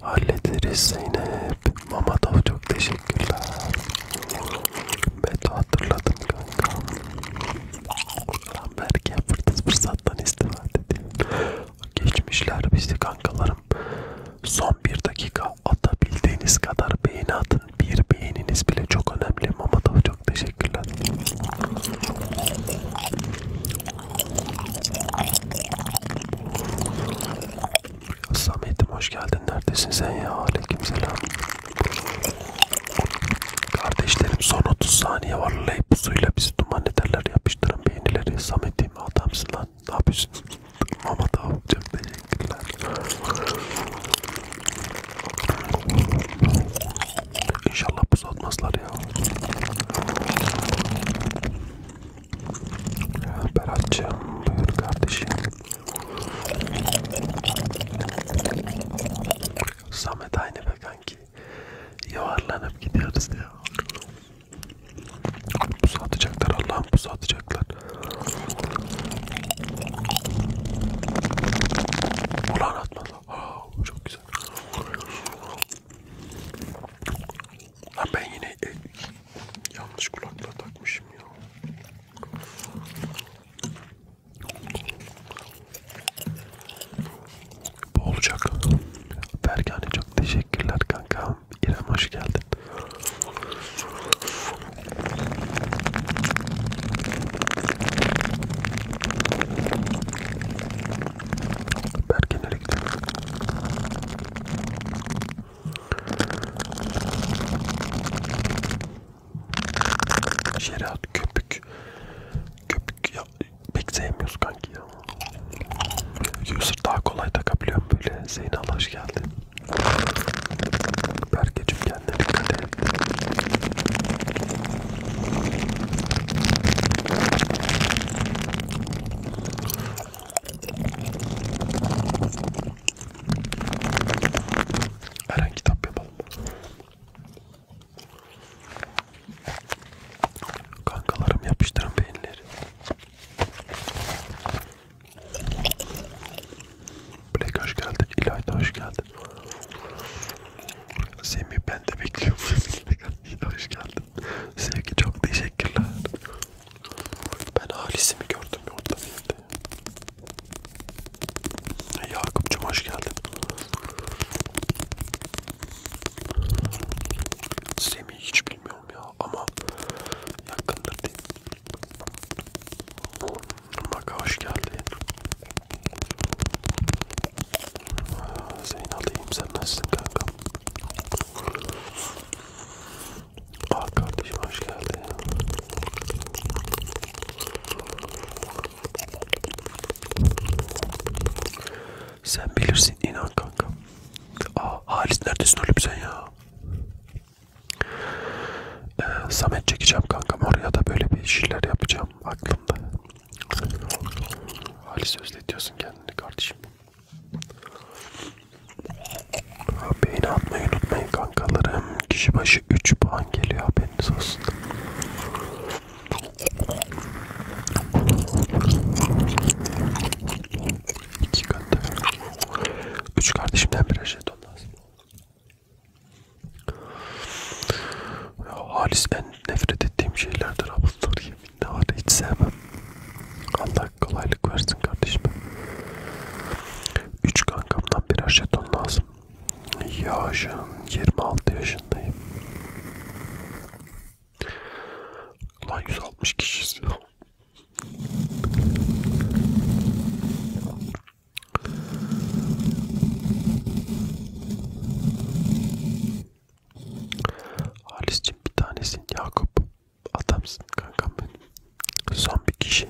Hallederiz Zeynep. Mamadov çok teşekkürler. Beto hatırladın kanka. Lan belki fırsat fırsattan istifade edeyim. Geçmişler bizi kankalarım. Son bir dakika atabildiğiniz kadar beğeni atın. Bir beğeniniz bile çok önemli. Mamadov çok teşekkürler. Samet'im hoş geldin. Neredesin sen ya? Aleykümselam. Kardeşlerim son 30 saniye var. Leyp suyla bizi duman ederler. Yapıştırın beğenileri. Samet'im adamsın lan. Ne yapıyorsun? Mama da yapacağım. Teşekkürler. İnşallah buz atmazlar ya. Berat'cığım buyur kardeşim. Samet aynı be kanki. Yuvarlanıp gidiyoruz ya. Pusu atacaklar Allah'ım pusu atacaklar. Ulan atmadı. Aa, çok güzel. Lan ben yine e, yanlış kulaklığa takmışım ya. Bu olacak. Bergane çok teşekkürler kanka. İrem hoş geldin. Bergane özellikle. Şeriat köpük. Köpük ya pek sevmiyoruz kanki ya. User daha kolay takabiliyorum böyle. Zeynal hoş geldin. Berkeciğim kendine dikkat et. Eren kitap yapalım. Kankalarım yapıştırın beyinleri. Black hoş geldin. İlay da hoş geldin. Semih ben de bekliyorum. İlay hoş geldin. Sevgi çok teşekkürler. Ben Halis'imi gördüm orada değildi. Yakup'cum hoş geldin. Semih hiç bilmiyorum ya ama yakındır değil. Maka hoş geldin. Zeyn alayım sen nasılsın kanka? Ah kardeşim hoş geldin. Sen bilirsin inan kanka. Aa ah, Halis neredesin oğlum sen ya? Ee, Samet çekeceğim kankam oraya da böyle bir şeyler yapacağım aklımda. Halis özletiyorsun kendini kardeşim. Beğeni atmayı unutmayın kankalarım. Kişi başı 3 puan geliyor haberiniz olsun. İki katı. Üç kardeşimden bir jeton lazım. Ya, halis en nefret ettiğim şeylerdir ablalar gibi minne var hiç sevmem. Allah kolaylık versin kardeşim. Üç kankamdan birer jeton lazım. Yaşım 26 yaşındayım. Ulan 160 kişiyiz. Halis'cim bir tanesin Yakup. Adamsın kankam benim. Son bir kişi.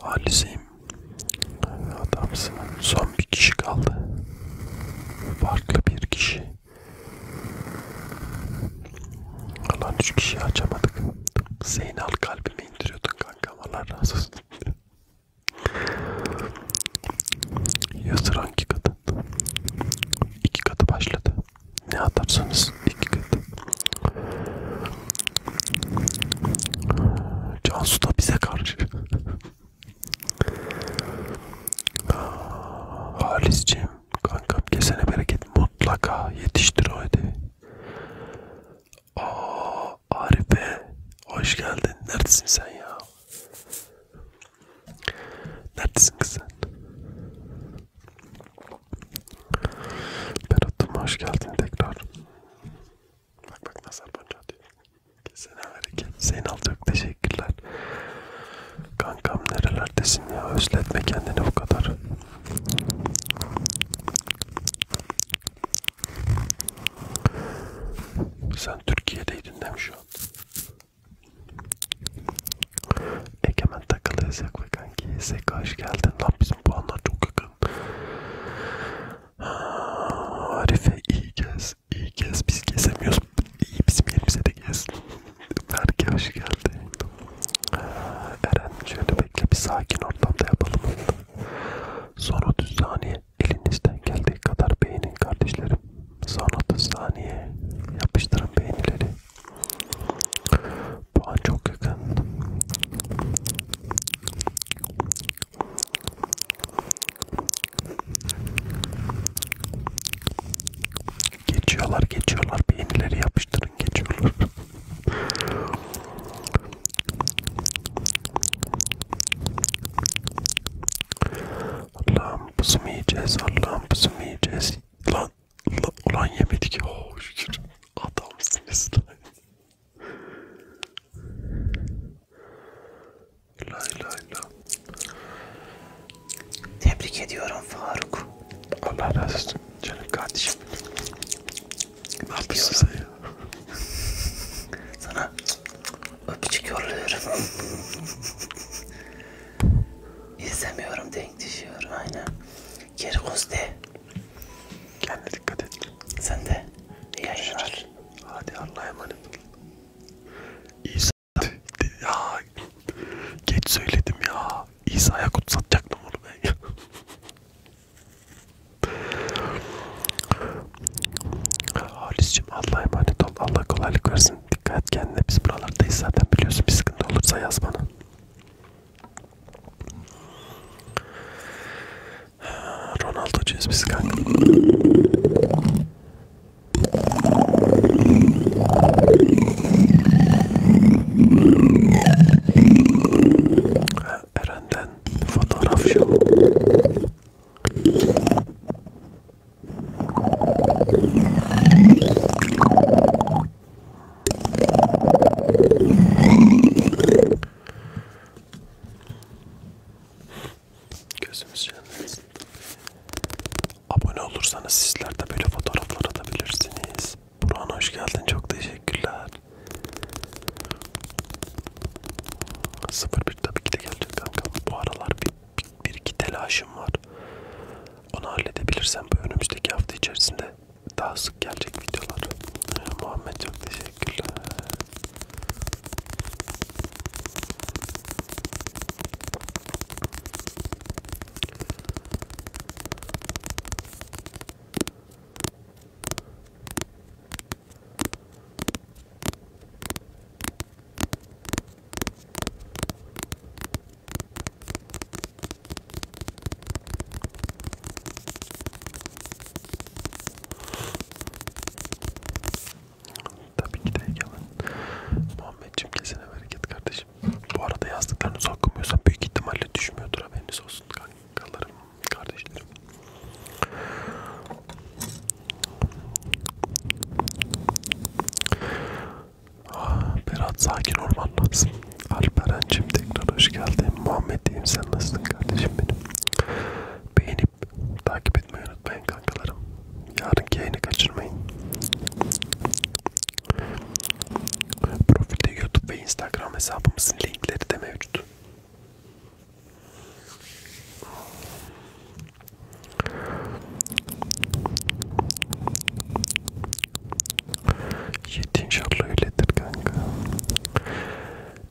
Halis'im. Adamsın. Son bir kişi kaldı. Farklı bir kişi. Alan üç kişi açamadık. Zeynal kalbime indiriyordun kankam. Allah razı olsun. Yazır hangi kadın? İki katı başladı. Ne atarsanız iki katı. Cansu da bize karşı. Ah, Halisciğim kankam kesene bereket mutlaka yetiştir o hadi. Aa, Arife hoş geldin. Neredesin sen ya? Neredesin kız sen? Berat'ım hoş geldin tekrar. Bak bak nazar boncuğu atıyor. Kesene hareket. Zeynal çok teşekkürler. Kankam nerelerdesin ya? Özletme kendini bu kadar. Sen Türkiye'deydin değil mi şu an? Egemen takılı yasak ve kanki yasak hoş geldin lan bizim puanlar çok yakın. Arife iyi gez, iyi gez biz gezemiyoruz. İyi bizim yerimize de gez. Berke hoş geldin. Eren şöyle bekle bir sakin ortamda yapalım. Sonra düz saniye elinizden geldiği kadar beğenin kardeşlerim. Son 30 saniye yapıştırın beğenileri. Puan çok yakın. Geçiyorlar, geçiyorlar. Beğenileri yapıştırın, geçiyorlar. Allah'ım buzumu yiyeceğiz. Allah'ım buzumu yiyeceğiz. Lan, lan, ulan yemedik. Oh şükür. Adamsınız lan. Lay lay lay. Tebrik ediyorum Faruk. Allah razı olsun canım kardeşim. Ne yapıyorsun sen ya? Sana öpücük yolluyorum. İzlemiyorum denk düşüyor aynen. Kirkuz de. Kendine dikkat et. Sen de. İyi yayınlar. Hadi Allah'a emanet ol. İsa ya geç söyledim ya. İsa'ya kutsatacaktım onu ben ya. Halis'cim Allah'a emanet ol. Allah kolaylık versin. Dikkat et kendine. Biz buralardayız zaten biliyorsun. Bir sıkıntı olursa yaz bana. Ronaldo'cuyuz biz kanka. Eren'den fotoğraf şu. Gözümüz yanmasın. Abone olursanız sizler de böyle fotoğraflar atabilirsiniz. Burhan hoş geldin. Çok teşekkürler. 01 tabii ki de gelecek kanka. Bu aralar bir, bir, bir iki telaşım var. Onu halledebilirsem bu önümüzdeki hafta içerisinde daha sık gelecek videolar. Ee, Muhammed çok teşekkürler. Tabii ki de yalan. Muhammedciğim kesene bereket kardeşim. Bu arada yazdıklarınızı okumuyorsan büyük ihtimalle düşmüyordur haberiniz olsun kankalarım, kardeşlerim. Ah, Berat sakin olman lazım. Alperen'cim tekrar hoş geldin. Muhammed'im sen nasılsın kardeşim benim? Beğenip takip etmeyi unutmayın kankalarım. Yarınki yayını kaçırmayın. Profilde YouTube ve Instagram hesabımızın linkleri de mevcut. Yedi inşallah öyledir kanka.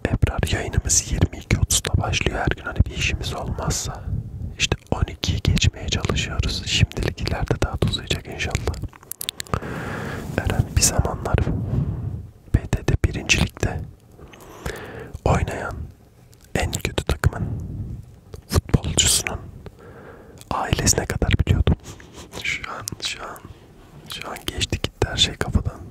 Ebrar yayınımız 22.30'da başlıyor her gün hani bir işimiz olmazsa. İşte 12'yi geçmeye çalışıyoruz. Şimdilik ileride daha da uzayacak inşallah. Eren bir zamanlar BD'de birincilikte oynayan en kötü takımın futbolcusunun ailesine kadar biliyordum. şu an, şu an, şu an geçti gitti her şey kafadan.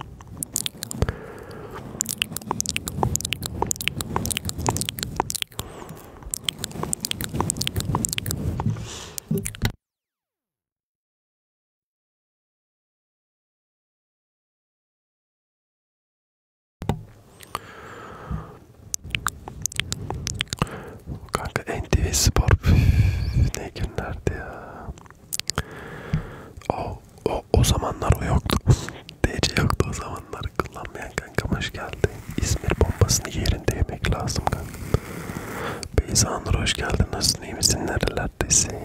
Kanka NTV Spor Üf, ne günlerdi ya. O, o, o zamanlar o yoktu. DC yoktu o zamanlar. Kullanmayan kanka hoş geldi. İzmir bombasını yerinde yemek lazım kanka. Beyza Anur hoş geldin. Nasılsın iyi misin? Nerelerdesin?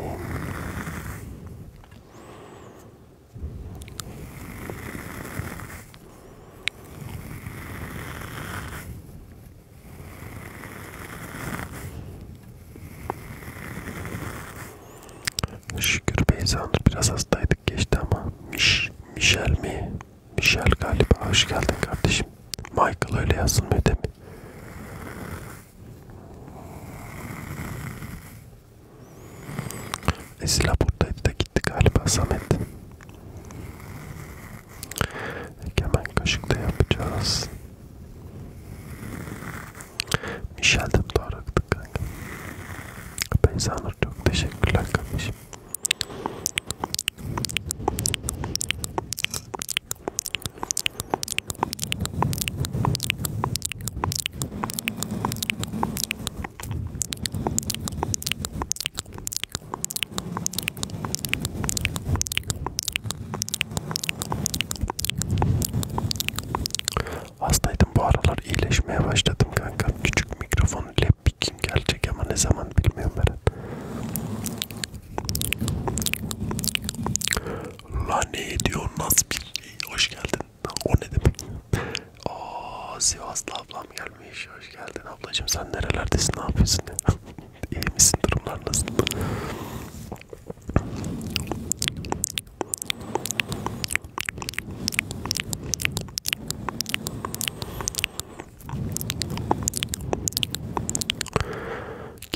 Şükür Beyza'nın biraz hastaydık geçti ama Miş, Michel mi? Michel galiba hoş geldin kardeşim. Michael öyle yazılmıyor değil mi? Esila buradaydı da gitti galiba Samet. Hemen kaşıkta yapacağız. Michel'den doğru aktık kanka. Beyza Nur çok teşekkürler kardeşim. Hastaydım bu aralar iyileşmeye başladım kanka. Küçük mikrofon lapbikim gelecek ama ne zaman bilmiyorum ben. La ne ediyor nasıl bir şey? hoş geldin. O ne demek? Oo Sivaslı ablam gelmiş. Hoş geldin ablacığım. Sen nerelerdesin? Ne yapıyorsun? İyi misin? Durumlar nasıl?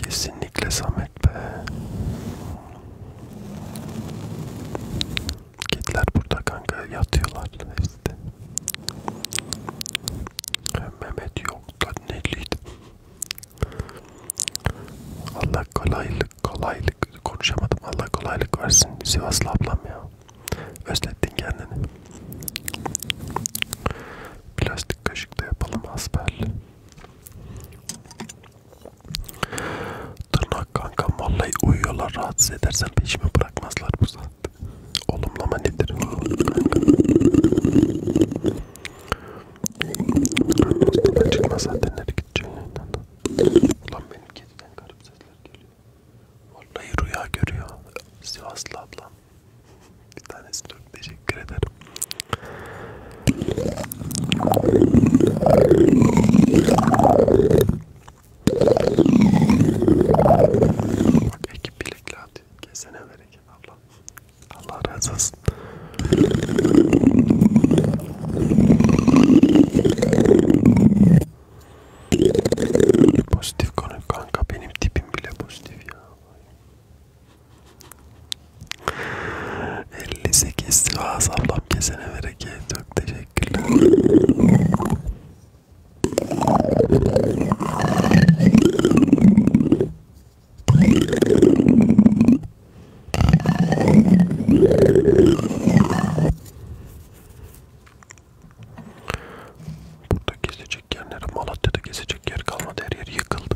Kesinlikle Samet be. Kediler burada kanka yatıyorlar işte. Mehmet yok da neliydi? Allah kolaylık kolaylık konuşamadım. Allah kolaylık versin Sivaslı ablam ya. Özlettin kendini. Plastik kaşıkla yapalım asperli. Tırnak kanka vallahi uyuyorlar rahatsız edersen peşimi bırakmazlar burada. Olumlama nedir? Hastadan çıkma zaten nereye gideceksin yayından? Ulan benim kediden garip sesler geliyor. Vallahi rüya görüyor. Sivaslı ablam. Bir tanesi çok teşekkür ederim. Bak ekip bilekli atıyor. Kesene bereket abla. Allah razı olsun. Pozitif konu kanka benim tipim bile pozitif ya. 58 Vaz ablam kesene bereket. Çok teşekkürler. Burada gezecek yerlere Malatya'da gezecek yer kalmadı her yer yıkıldı.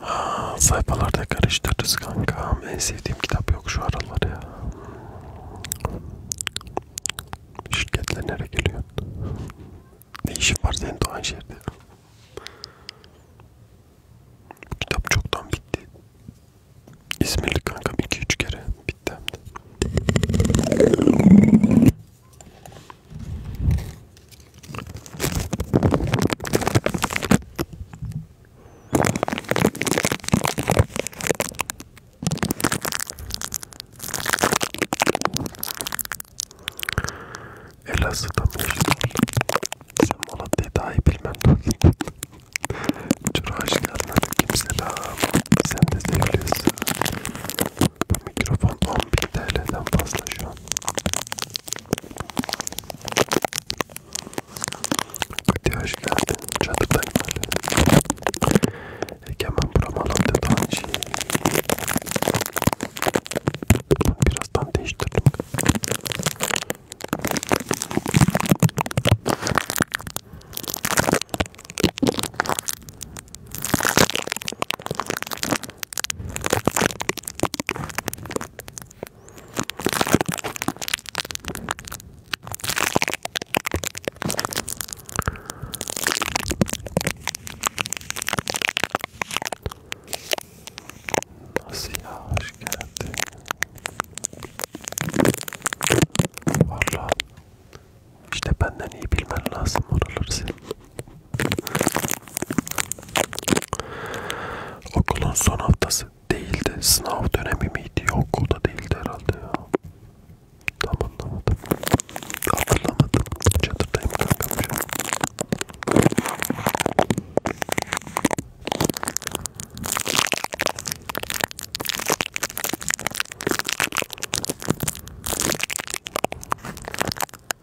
Ha, sayfalarda karıştırırız kanka. En sevdiğim kitap yok şu aralar ya. Şirketle nereye geliyorsun? Ne işin var senin Doğan şehirde? Kitap çoktan bitti. İzmirli kankam 2-3 kere bitti hem de. Elazığ'da mı yaşıyorsun? Sen Malatya'yı daha iyi bilmem lazım. Çura hoş geldin. Kimselam. Sen de sevgilisin. Mikrofon 11 TL'den fazla şu an. Kuti hoş geldin. Çatıdan geldin. Egemen buram alandı daha iyi. Birazdan değiştirdim. Asya hoş geldin. Valla işte benden iyi bilmen lazım oraları senin. Okulun son haftası değildi. Sınav dönemi miydi? Yok okulda değildi herhalde ya. Tam anlamadım. Hatırlamadım. Çadırdayım kankam şu şey. an.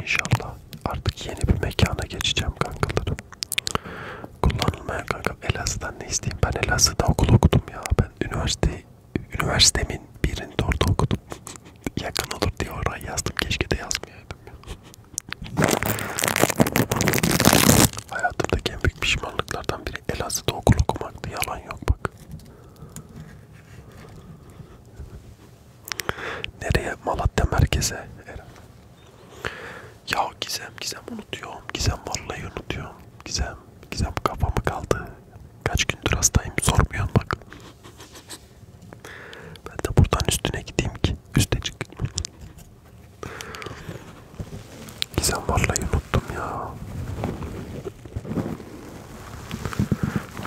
İnşallah artık yeni bir mekana geçeceğim kankalarım. Kullanılmayan kanka Elazığ'dan ne isteyeyim? Ben Elazığ'da okul okudum ya. Ben üniversite üniversitemin birinde orada okudum. Yakın olur diye oraya yazdım. Keşke de yazmayaydım ya. Hayatımdaki en büyük pişmanlıklardan biri Elazığ'da okul okumaktı. Yalan yok bak. Nereye? Malatya merkeze. Eren. Ya Gizem, Gizem unutuyorum. Gizem vallahi unutuyorum. Gizem, Gizem kafamı kaldı. Kaç gündür hastayım sormuyorsun bak. Ben de buradan üstüne gideyim ki üste çık. Gizem vallahi unuttum ya.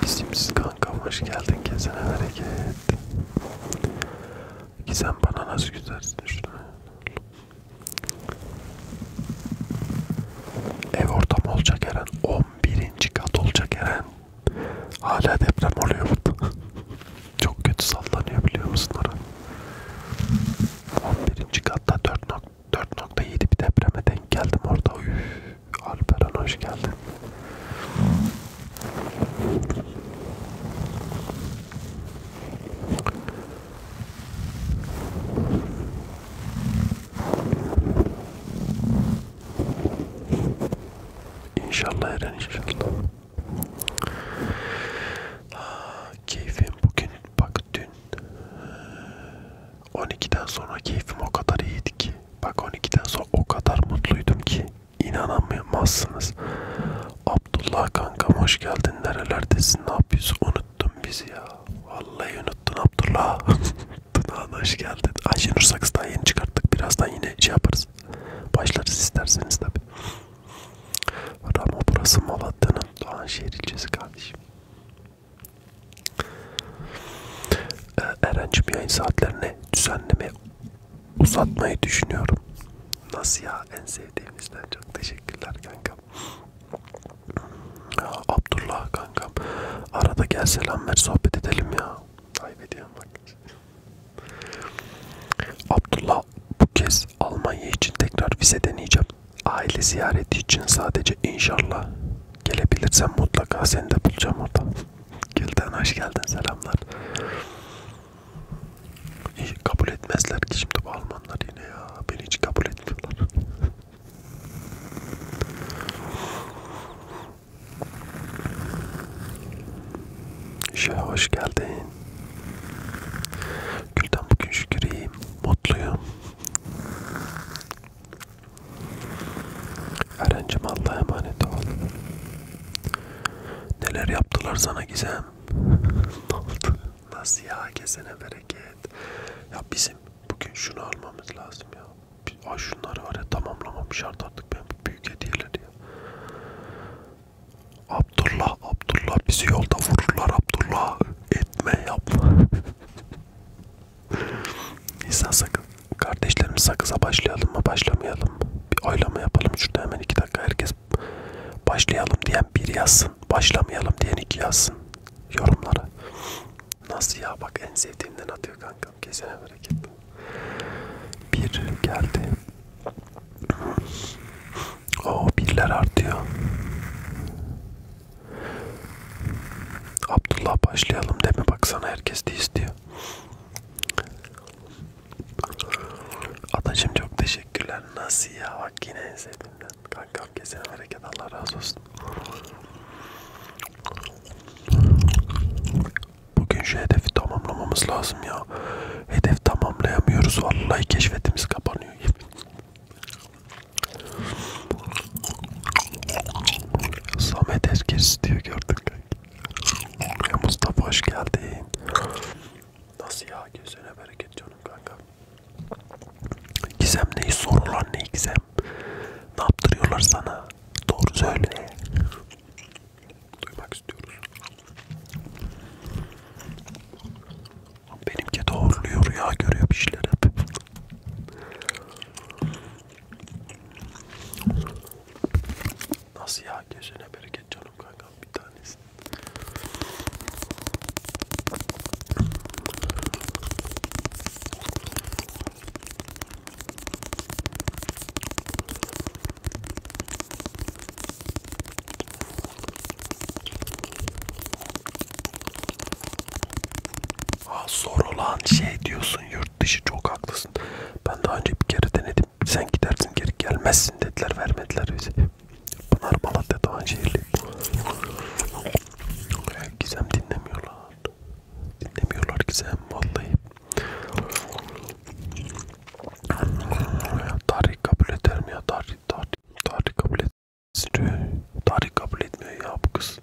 İsimsiz kankam hoş geldin kesene hareket. Ki sen bana nasıl güzelsin şunu. Ev ortamı olacak Eren. 11. kat olacak Eren. Hala deprem oluyor burada. Çok kötü sallanıyor biliyor musun Eren? 11. katta 4.7 bir depreme denk geldim orada. Üff. Alperen hoş geldin. İnşallah Eren inşallah. Ha, ah, keyfim bugün bak dün 12'den sonra keyfim o kadar iyiydi ki Bak 12'den sonra o kadar mutluydum ki inanamazsınız. Abdullah kankam hoş geldin. Nerelerdesin? Ne yapıyorsun? Unuttun bizi ya. Vallahi unuttun Abdullah. Tunağına hoş geldin. Ayşenur Saks'tan yeni çıkarttık. Birazdan yine şey yaparız. Başlarız isterseniz tabi. Ama burası Malatya'nın Doğanşehir ilçesi kardeşim. Ee, Eren'cim yayın saatlerini düzenleme uzatmayı düşünüyorum. Nasıl ya? En sevdiğimizden çok teşekkürler kankam. Ya Abdullah kankam. Arada gel selam ver sohbet edelim ya. Kaybediyorum bak. Abdullah bu kez Almanya için tekrar vize deneyeceğim. Aile ziyareti için sadece inşallah gelebilirsen mutlaka seni de bulacağım orada. Gülden hoş geldin selamlar. Hiç kabul etmezler ki şimdi bu Almanlar yine ya. Beni hiç kabul etmiyorlar. Şe hoş geldin. Gülden bugün şükür iyiyim. Mutluyum. Eren'cim Allah'a emanet ol. Neler yaptılar sana Gizem? ne oldu? Nasıl ya? Kesene bereket. Ya bizim bugün şunu almamız lazım ya. Ay şunları var ya tamamlamam şart artık ben büyük hediyeler ya. Abdullah, Abdullah bizi yolda vururlar Abdullah. Etme yapma. İnsan sakın. Kardeşlerim sakıza başlayalım mı başlamayalım mı? Bir oylama yapalım şurada hemen iki dakika herkes başlayalım diyen bir yazsın. Başlamayalım diyen iki yazsın. Yorumlara. Nasıl ya bak en sevdiğimden atıyor kankam. Kesene bereket. Bir geldi. O birler artıyor. Abdullah başlayalım deme baksana herkes de istiyor. Atacım çok teşekkürler. Nasıl ya? Bak yine en sevdiğimden. Kankam kesene hareket Allah razı olsun. Bugün şu hedefi tamamlamamız lazım ya. Hedef tamamlayamıyoruz. Vallahi keşfetimiz kapanıyor. Samet Erkes diyor gördük. Mustafa hoş geldin. Nasıl ya? Gözüne bereket canım kanka. Gizem neyi sorulan ne Gizem? Ne yaptırıyorlar sana? Doğru söyle. Duymak istiyoruz. Benimki doğruluyor ya görüyor bir şeyler hep. Nasıl ya? Gözüne bereket canım kankam bir tanesi. Ha zor olan şey diyorsun yurt yurt dışı çok haklısın. Ben daha önce bir kere denedim. Sen gidersin geri gelmezsin dediler vermediler bizi. Pınar Malatya Doğanşehirli. Gizem dinlemiyorlar. Dinlemiyorlar Gizem vallahi. Tarih kabul eder mi ya? Tarih, tarih, tarih kabul etmiyor. Tarih kabul etmiyor ya bu kız.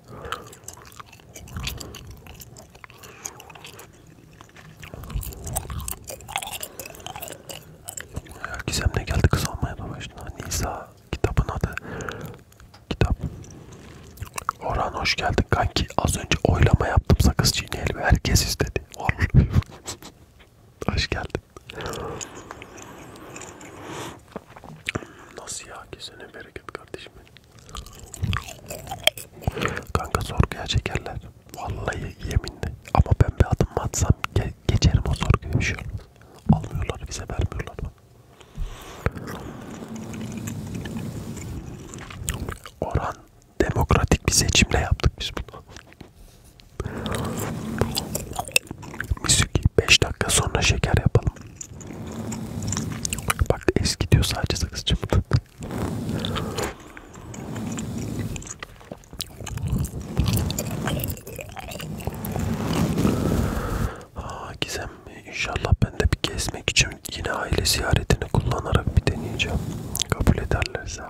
Gizem'le geldi kız almaya da başına. Nisa kitabın adı. Kitap. Orhan hoş geldin kanki. Az önce oylama yaptım sakız çiğneyeli ve herkes istedi. hoş geldin. Nasıl ya? Kesene bereket kardeşim benim. Kanka sorguya çekerler. Vallahi yeminle. Ama ben bir adım atsam ge geçerim o sorguya bir şey olmaz. Almıyorlar bize vermiyorlar. Orhan demokratik bir seçimle yaptık biz bunu. Müzik 5 dakika sonra şeker yapalım. Bak eski diyor sadece sakızcım. Aa, Gizem inşallah ben de bir gezmek için yine aile ziyaretini kullanarak bir deneyeceğim. Kabul ederlerse.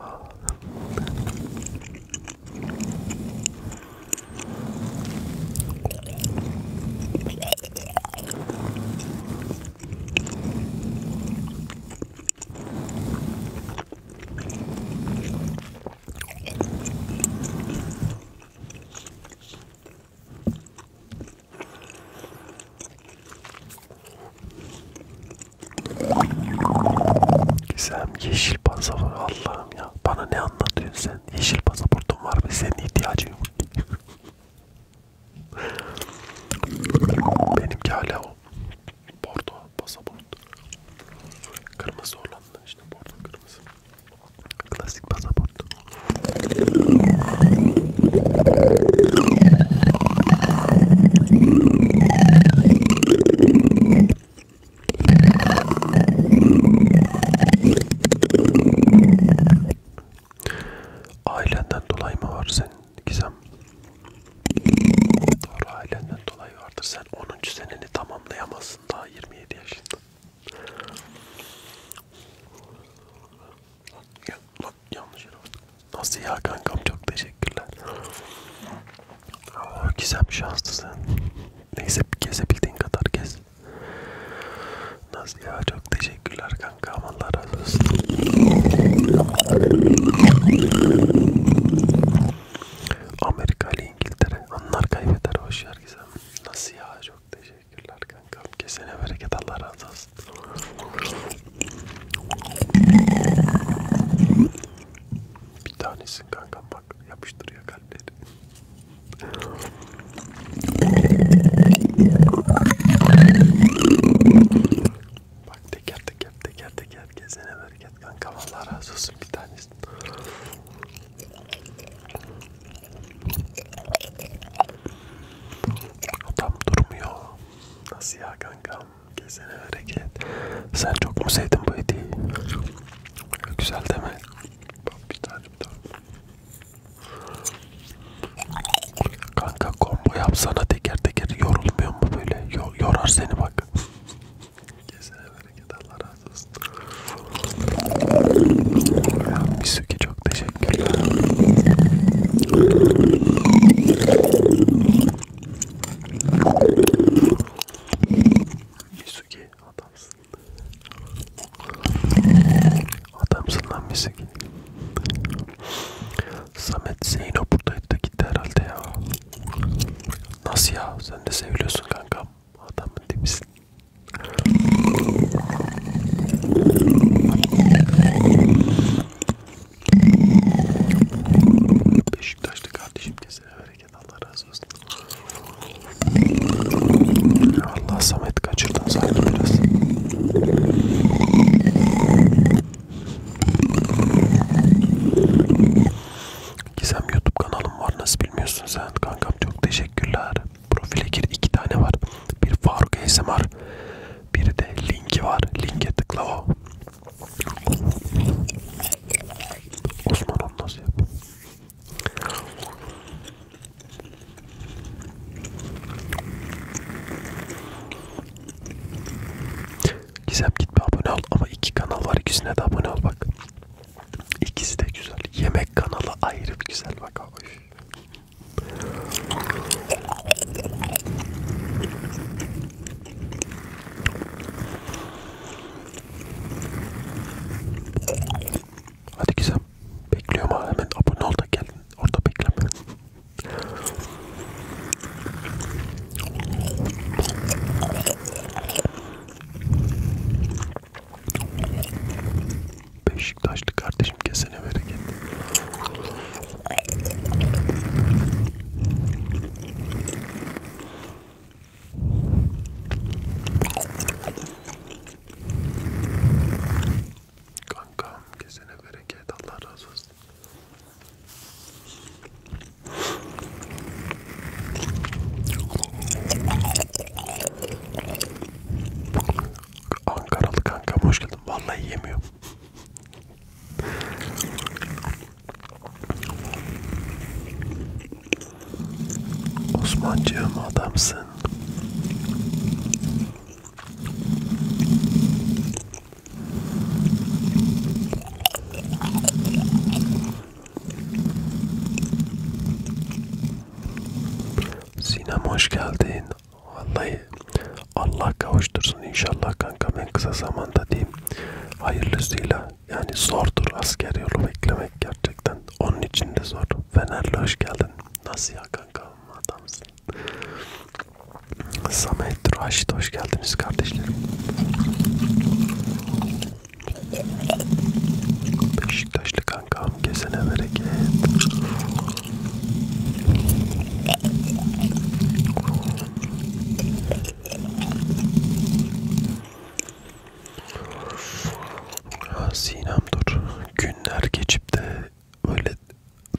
Gizem yeşil pasaport Allah'ım ya. Bana ne anlatıyorsun sen? Yeşil pasaportun var ve senin ihtiyacın yok. Benimki hala o. Bordo pasaport. Kırmızı Hollanda işte bordo kırmızı. Klasik pasaport. Ailenden dolayı mı var senin Gizem? Doğru ailenden dolayı vardır. Sen 10. seneni tamamlayamazsın daha 27 yaşında. Ya, lan, yanlış yere Nasıl ya kankam çok teşekkürler. Oo, Gizem şanslısın. Neyse gezebildiğin kadar gez. Nasıl ya çok teşekkürler kankam kanka Allah razı olsun. Amerika ile İngiltere onlar kaybeder hoşyar gizem. Nasıl ya çok teşekkürler kankam. Kesene bereket Allah razı olsun. Bir tanesin kankam bak yapıştırıyor kalpleri. Bak teker teker teker teker gezene bereket kanka Allah razı olsun bir tanesi. Adam durmuyor. Nasıl ya kanka? Gezene bereket. Sen çok mu sevdin bu hediyeyi? Güzel değil mi? Bak bir tane daha. Kanka kombo yapsana teker teker yorulmuyor mu böyle? Yo yorar seni bak. Kesene bereket Allah razı olsun. Ya, Misuki çok teşekkürler. Misuki adamsın. Adamsın lan Misuki. Samet Zeyno buradaydı da gitti herhalde ya. Nasıl ya? Sen de seviyorsun kankam. Adamın dibisin. Beşiktaşlı kardeşim kesene bereket Allah razı olsun. Allah Samet kaçırdın sanki biraz. Gizem YouTube kanalım var nasıl bilmiyorsun sen kankam çok teşekkürler. Profile gir iki tane var. Bir Faruk ASMR bir de linki var. Linke tıkla o. Osman onu nasıl yapıyor? Gizem gitme abone ol ama iki kanal var ikisine de abone ol bak. İkisi de güzel. Yemek kanalı ayrı bir güzel bak abi. Hadi Gizem bekliyorum ha hemen abone ol da gel orada bekleme. Beşiktaşlı kardeşim kesene bereket. Kankam kesene bereket Allah razı olsun. Ankaralı kanka hoş geldin. Vallahi yemiyorum. Osmancığım adamsın. Sinem hoş geldin. Vallahi Allah kavuştursun inşallah kanka ben kısa zamanda diyeyim. Hayırlısıyla yani zordur asker yolu beklemek gerçekten. Onun için de zor. Fenerli hoş geldin. Nasıl ya kanka adamsın olsun. Samet, Raşit hoş geldiniz kardeşlerim. Beşiktaşlı kankam kesene bereket. Sinem dur. Günler geçip de böyle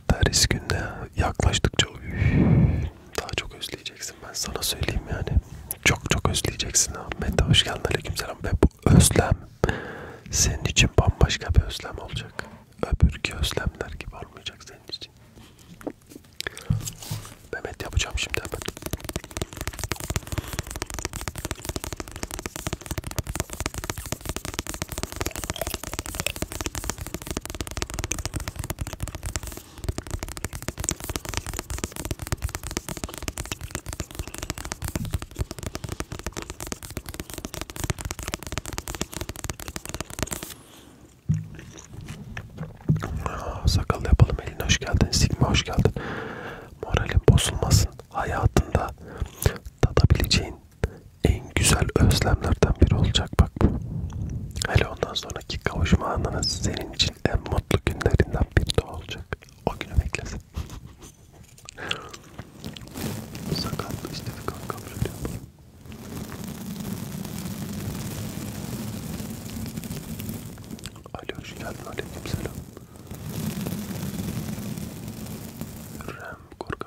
teris günde yaklaştıkça daha çok özleyeceksin ben sana söyleyeyim yani çok çok özleyeceksin ha. Mete hoş geldin aleykümselam ve bu özlem senin için bambaşka bir özlem olacak. Öbürki özlemler gibi olmayacak senin için. Mehmet yapacağım şimdi hemen. Sakal yapalım eline hoş geldin. Sigma hoş geldin. Moralin bozulmasın. Hayatında tadabileceğin en güzel özlemlerden biri olacak bak bu. Hele ondan sonraki kavuşma anınız senin için en mutlu günlerinden biri de olacak. O günü beklesin. Sakatlı işte bir kankam söylüyor. Alo hoş geldin aleyküm selam. Rem korkak.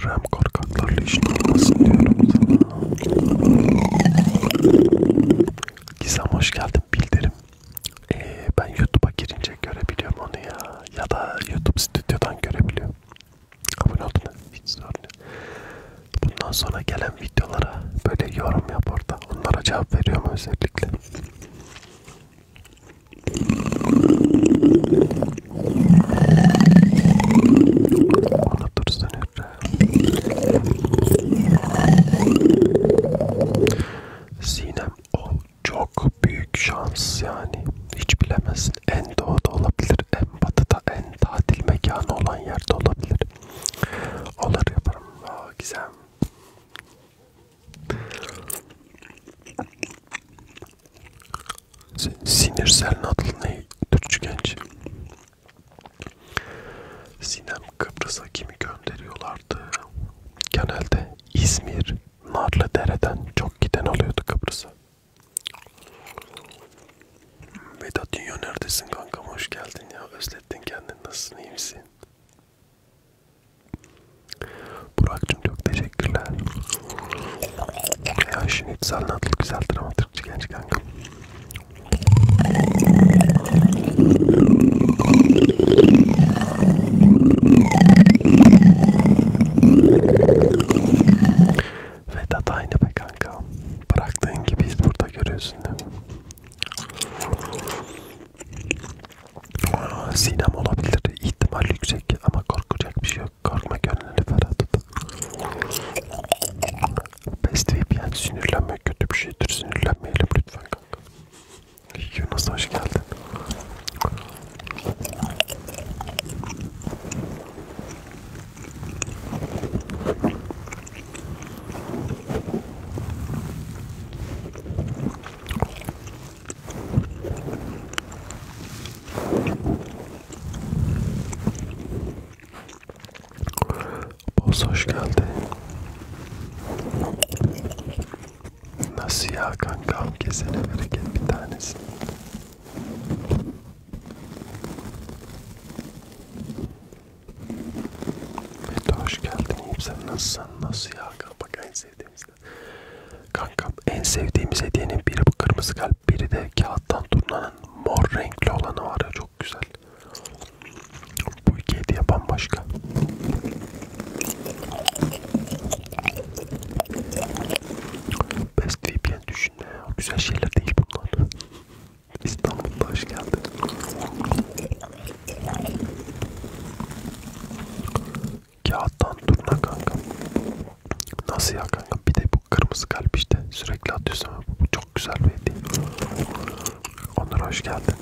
Hürrem korkaklarla işin olmasın diyorum Gizem hoş geldin bildirim. Ee, ben YouTube'a girince görebiliyorum onu ya. Ya da YouTube stüdyodan görebiliyorum. Abone oldun mu? Hiç sorun yok. Bundan sonra gelen videolara böyle yorum yap orada. Onlara cevap veriyorum özellikle. Sinem o çok büyük şans yani hiç bilemezsin en doğuda olabilir en batıda en tatil mekanı olan yerde olabilir. Onları yaparım. Aa, güzel. Sinirsel nadıl ne? Türkçü genç. Sinem Kıbrıs'a kimi gönderiyorlardı? Genelde İzmir, Narlıdere'den çok giden oluyordu Kıbrıs'a. Vedat Dünya neredesin kankam hoş geldin ya özlettin kendini nasılsın iyi misin? Burak'cığım çok teşekkürler. Ya şimdi güzel natlı güzel dramatikçi genç kanka. Vedat aynı be kanka. Bıraktığın gibiyiz burada görüyorsun değil mi? Sinem olabilir. İhtimal yüksek ama korkacak bir şey yok. Korkma gönlünü ferah tut. Best VIP yani sinirlenmek kötü bir şeydir. Sinirlenmeyelim lütfen kanka. Yunus hoş geldin. Boz hoş geldi. Nasıl ya kanka? Kesene bereket bir tanesini. Mete hoş geldin. İyiyim sen nasılsın? Nasıl ya? Bak en sevdiğimiz Kankam en sevdiğimiz hediyenin biri bu kırmızı kalp, biri de kağıttan turnanın mor renkli olanı var ya çok güzel. Bu iki hediye bambaşka. Best VPN düşünme. O güzel şeyler değil bunlar. İstanbul'da hoş geldin. Kağıttan turna kanka. Nasıl ya kanka? Bir de bu kırmızı kalp işte. Sürekli atıyorsun ama bu çok güzel bir hediye. Onur hoş geldin.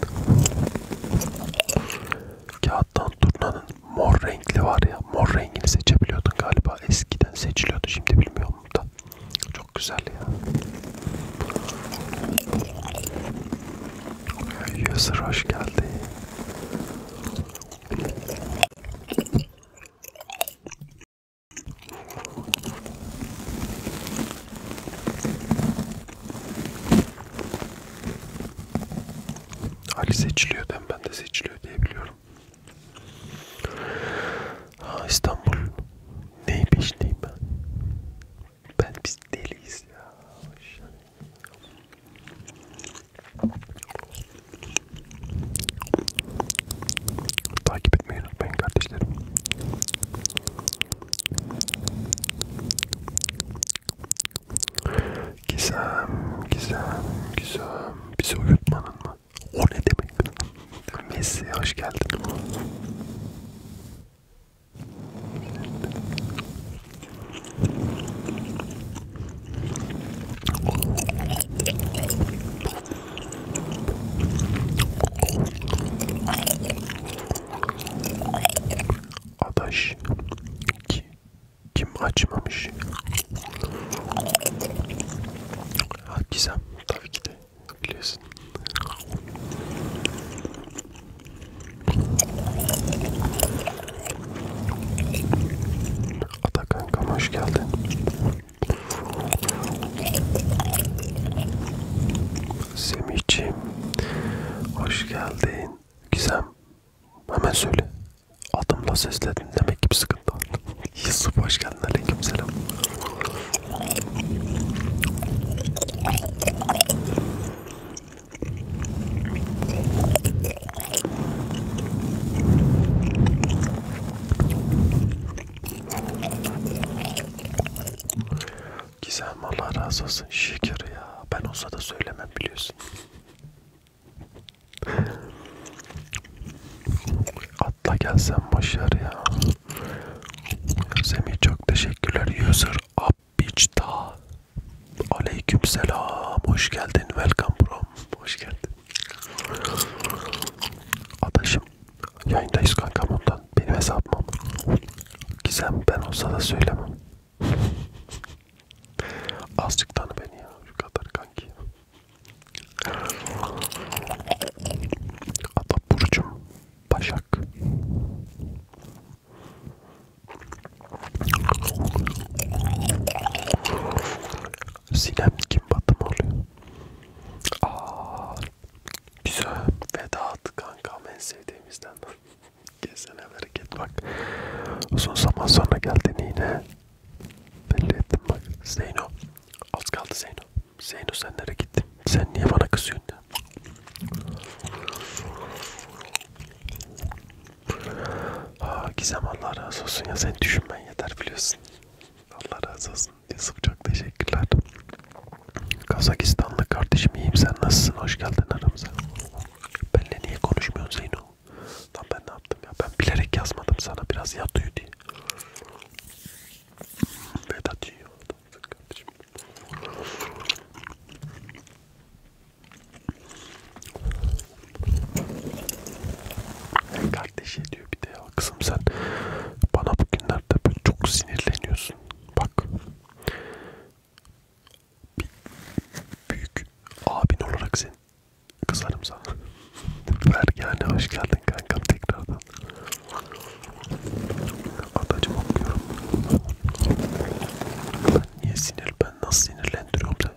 Kağıttan turnanın mor renkli var ya. Mor rengini seçebiliyordun galiba. Eskiden seçiliyordu. Şimdi bilmiyorum da. Çok güzel ya. Yasir hoş geldin. Ali seçiliyor ben ben de seçiliyor diye biliyorum. Ha, İstanbul neyin peşindeyim ben? Ben biz deliyiz ya. Takip etmeyi unutmayın kardeşlerim. Gizem, Gizem, Gizem. Bizi uyutmanın mı? O ne demek? Messi hoş geldin. Adaş ki kim açmamış? Ha, Gizem tabii ki de biliyorsun. Atakan kankam hoş geldin. Semih'ciğim hoş geldin. Gizem hemen söyle. Adımla sesledin demek ki bir sıkıntı var. Yusuf hoş geldin. Aleyküm selam. Gizem Allah razı olsun. Şükür ya. Ben olsa da söylemem biliyorsun. Atla gelsen başlar ya. Semih çok teşekkürler. User up bitch daha. Aleykümselam. Hoş geldin. Welcome bro. Hoş geldin. Adaşım yayındayız kankam ondan. Benim hesabım. Gizem ben olsa da söylemem. Azıcık tanı beni ya. Şu kadar kanki. Ata Burcum. Başak. Sinem kim batım oluyor? Aa, güzel Vedat kanka en sevdiğimizden. Gezene bereket bak. Uzun zaman sonra geldin yine. Belli ettim bak. Zeyno. Az kaldı Zeyno. Zeyno sen nereye gittin? Sen niye bana kızıyorsun ya? Aa, Gizem Allah razı olsun ya sen düşünmen yeter biliyorsun. Allah razı olsun. Yusuf çok teşekkürler. Kazakistanlı kardeşim iyiyim sen nasılsın? Hoş geldin aramıza. Benle niye konuşmuyorsun Zeyno? Lan ben ne yaptım ya? Ben bilerek yazmadım sana biraz yatıyor diye. Vedat iyi oldu. Kardeşim. Kardeşi diyor bir de ya kızım sen bana bugünlerde böyle çok sinirleniyorsun. Bak bir büyük abin olarak sen kızarım sana. Ver yani hoş geldin kankam tekrardan. Adacım okuyorum. Ben niye sinir ben nasıl sinirlendiriyorum seni?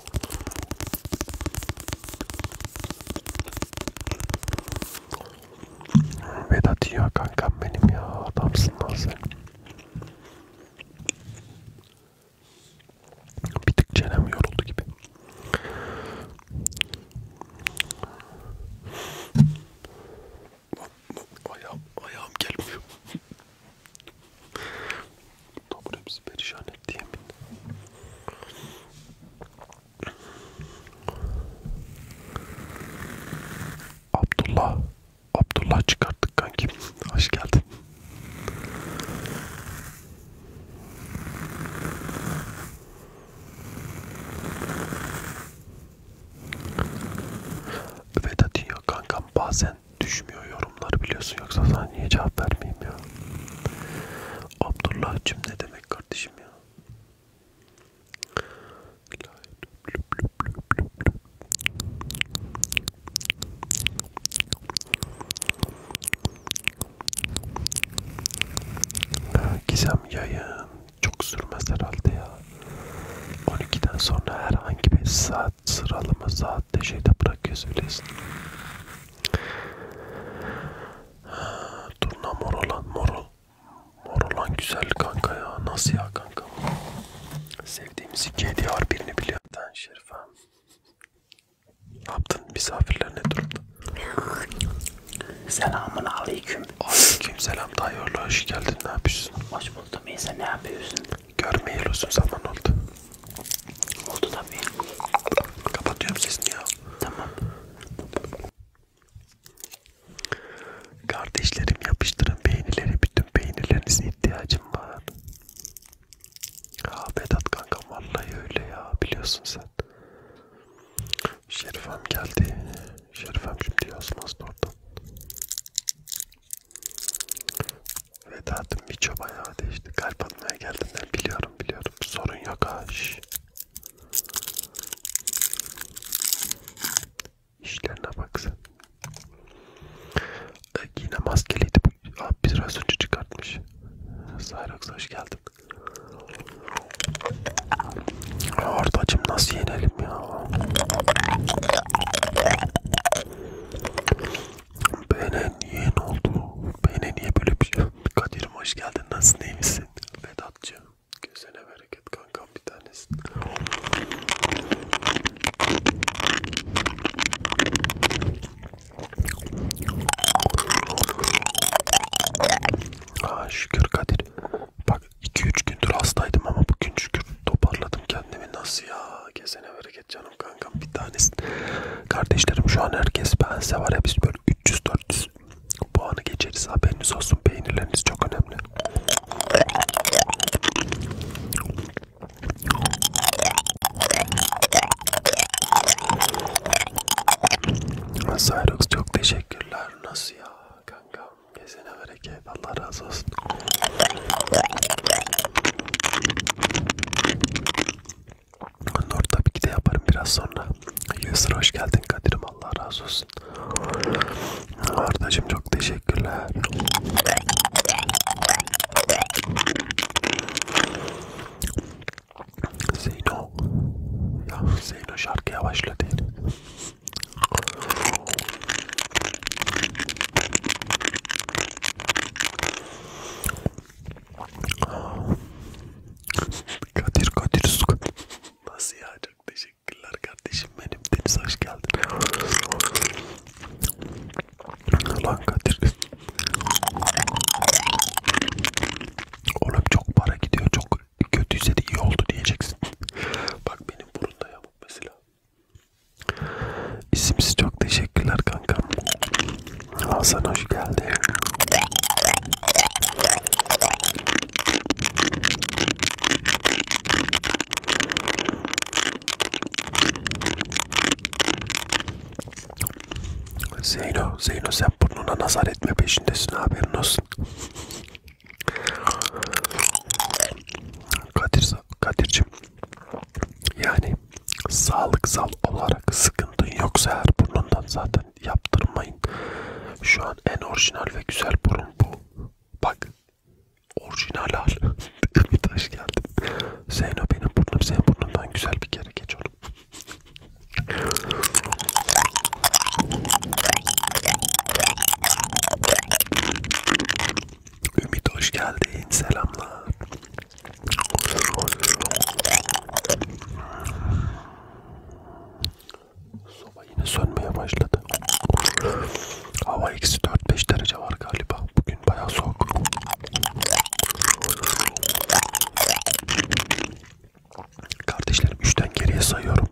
Vedat ya kankam benim ya adamsın lan sen. Bir tık çenem yoruldu gibi. Ayağım, ayağım gelmiyor. Topun hepsi perişan etti yemin. Abdullah Abdullah çıkarttık kankim hoş geldin Vedat ya kankam bazen düşmüyor yorumlar biliyorsun yoksa sana niye cevap vermeyeyim ya Abdullah'cım ne demek kardeşim ya? Gizem yayın çok sürmez herhalde ya. 12'den sonra herhangi bir saat sıralama saatte şeyde bırakıyoruz biliyorsun. Turna Morolan Morol. Morolan güzel kanka ya. Nasıl ya kanka? Sevdiğimiz iki DDR birini biliyor. Ben Şerife. Ne yaptın? Misafirler ne durumda? Selamun aleyküm. Aleyküm selam. Dayıoğlu hoş geldin. Ne yapıyorsun? Hoş buldum. İyi sen ne yapıyorsun? Görmeyeli uzun zaman oldu. Oldu tabii. Kapatıyorum sesini ya. Tamam. Kardeşlerim yapıştırın peynirleri. Bütün peynirlerinize ihtiyacım var. Ha Vedat kankam vallahi öyle ya. Biliyorsun sen. Şerifem geldi. Şerifem şimdi yazmazdı oradan. Vedat'ın birçok bayağı değişti. Kalp atmaya geldiğinden biliyorum biliyorum. Sorun yok ha. Şş. İşlerine bak sen. Ee, yine maskeliydi. Abi biraz önce çıkartmış. Sayrax hoş geldin. Ortacım nasıl yenelim ya? Bene niye ne oldu? Bene niye böyle bir şey? Kadir'im hoş geldin. Nasılsın? İyi misin? Vedatçı. Gözüne bereket kankam bir tanesi. Aa, şükür Kadir. Bak 2-3 gündür hastaydım ama bugün şükür toparladım kendimi. Nasıl ya? Gezene bereket canım kankam bir tanesi. Kardeşlerim şu an herkes bense var ya biz böyle 300-400 geçersek bu anı geçeriz haberiniz olsun peynirleriniz çok önemli. Cyrus çok teşekkürler. Nasıl ya kanka? Gezene bereket. Allah razı olsun. Nur tabii ki de yaparım biraz sonra. Yusra hoş geldin Kadir'im Allah razı olsun. Ardacığım çok teşekkürler. Zeyno. Ya Zeyno şarkı yavaşla değil. Kadir Kadir Suka. Nasıl ya? Çok teşekkürler kardeşim benim. Deniz hoş geldin. Lan Kadir. Oğlum çok para gidiyor. Çok kötüyse de iyi oldu diyeceksin. Bak benim burunda yamuk mesela. İsimsiz çok teşekkürler kankam. Hasan hoş geldi. Zeyno, Zeyno sen burnuna nazar etme peşindesin haberin olsun. Kadir, Kadir'cim yani sağlıksal olarak sıkıntın yoksa her burnundan zaten yaptırmayın. Şu an en orijinal ve güzel burun bu. Bak. Orijinal hal. bir taş geldi. Zeyno benim burnum senin burnundan güzel bir kere geç oğlum. Ümit hoş geldin. Selamlar. Soba yine sönmeye başladı. Hava eksi 4-5 derece var galiba. Bugün bayağı soğuk. Kardeşlerim 3'ten geriye sayıyorum.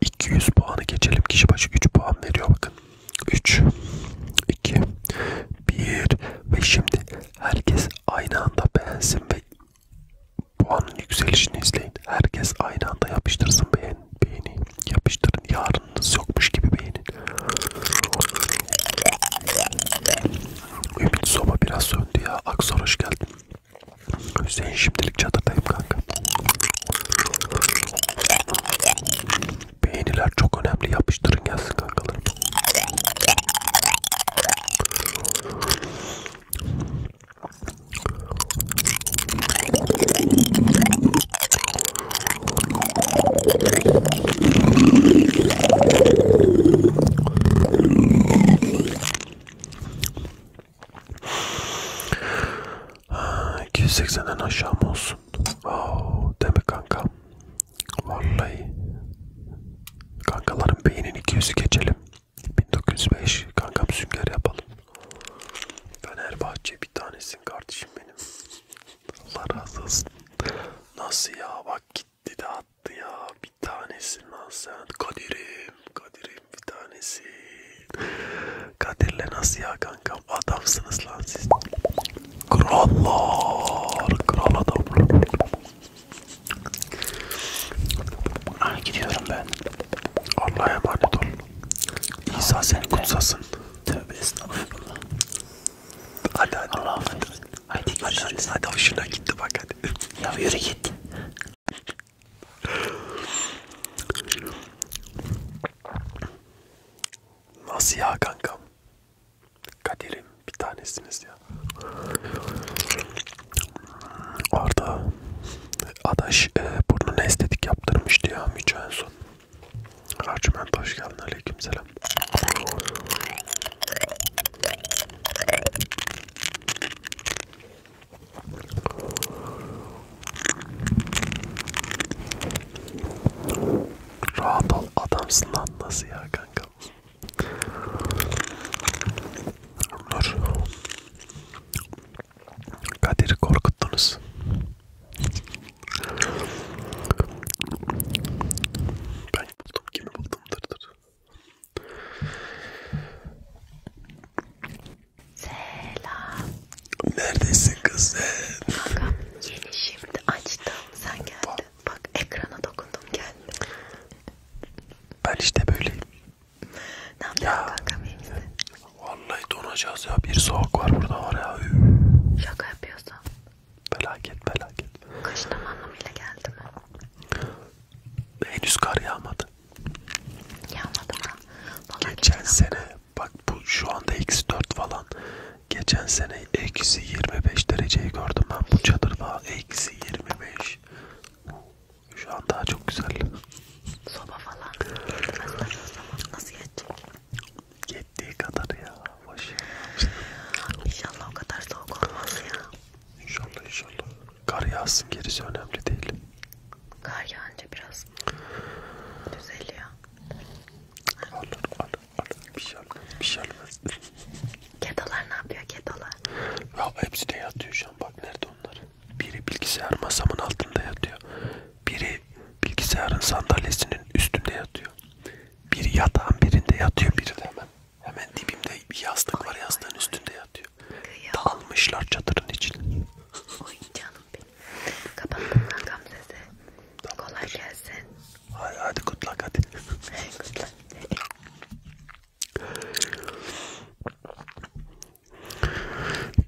200 puanı geçelim. Kişi başı 3 puan veriyor bakın. 3 2 1 ve şimdi herkes aynı anda beğensin ve puanın yükselişini izleyin. Herkes aynı anda yapıştırsın beğen, beğeni. Yapıştırın. Yarınınız yokmuş gibi beğenin. Ümit soba biraz söndü ya. Aksor hoş geldin. Hüseyin şimdilik çadırdayım kanka. Beğeniler çok önemli. Yapıştırın gelsin kankalarım. 280'den aşağı mı olsun? Oh, deme kanka. Vallahi. Kankaların beynin 200'ü geçelim. 1905 kankam sünger yapalım. Fenerbahçe bir tanesin kardeşim benim. Allah razı olsun. Nasıl ya bak gitti de attı ya. Bir tanesin lan sen. Kadir'im. Kadir'im bir tanesi. Kadir'le nasıl ya kankam? Adamsınız lan siz. Krallar. Kral adamlar. Ha, gidiyorum ben. Allah'a emanet ol. İsa sen kutsasın. Tövbe estağfurullah. Hadi hadi. Allah affetsin. Hadi görüşürüz. Hadi, hadi, hadi hoşuna gitti bak hadi. Ya yürü git. Nasıl ya kankam? Kaderim. Bir tanesiniz ya. Orada adaş e, burnunu estetik yaptırmıştı ya Mücü en son. Arçment hoş geldin. Aleykümselam. Rahat ol adamsın lan nasıl ya kanka? Nur. Kadir'i korkuttunuz. Ben buldum kimi buldum dır dır. Selam. Neredesin kız sen? Kankam yeni şimdi açtım sen geldin. Bak, Bak ekrana dokundum geldi. Ben işte böyleyim. Ne yapıyorsun kankam iyi misin? Vallahi donacağız ya bir soğuk var burada var ya. Şaka yapıyorsun. Felaket felaket. Kışın anlamıyla geldi mi? Henüz kar yağmadı. Yağmadı mı? Vallahi geçen sene ama. bak bu şu anda eksi 4 falan. Geçen sene eksi 25 dereceyi gördüm ben bu çadırda eksi 25. Şu an daha çok güzel. Soba falan. Nasıl yetecek? Yettiği kadar ya. Boş. İnşallah o kadar soğuk olmaz ya. İnşallah inşallah. Kar yağsın gerisi önemli değil. Kar yağınca biraz düzeliyor. Alır alır alır. Bir şey almaz bir şey almaz. Kedalar ne yapıyor kedalar? Ya hepsi de yatıyor şu an bak nerede onlar. Biri bilgisayar masamın altında yatıyor. Biri bilgisayarın sandalyesinin üstünde yatıyor. Biri yatağın birinde yatıyor biri de hemen. Hemen dibimde bir yastık var yastığın üstünde yatıyor. Dalmışlar çadırın içine. Oy canım benim. Kapattım lan Gamze'si. Kolay gelsin. Hadi hadi good luck hadi. good luck.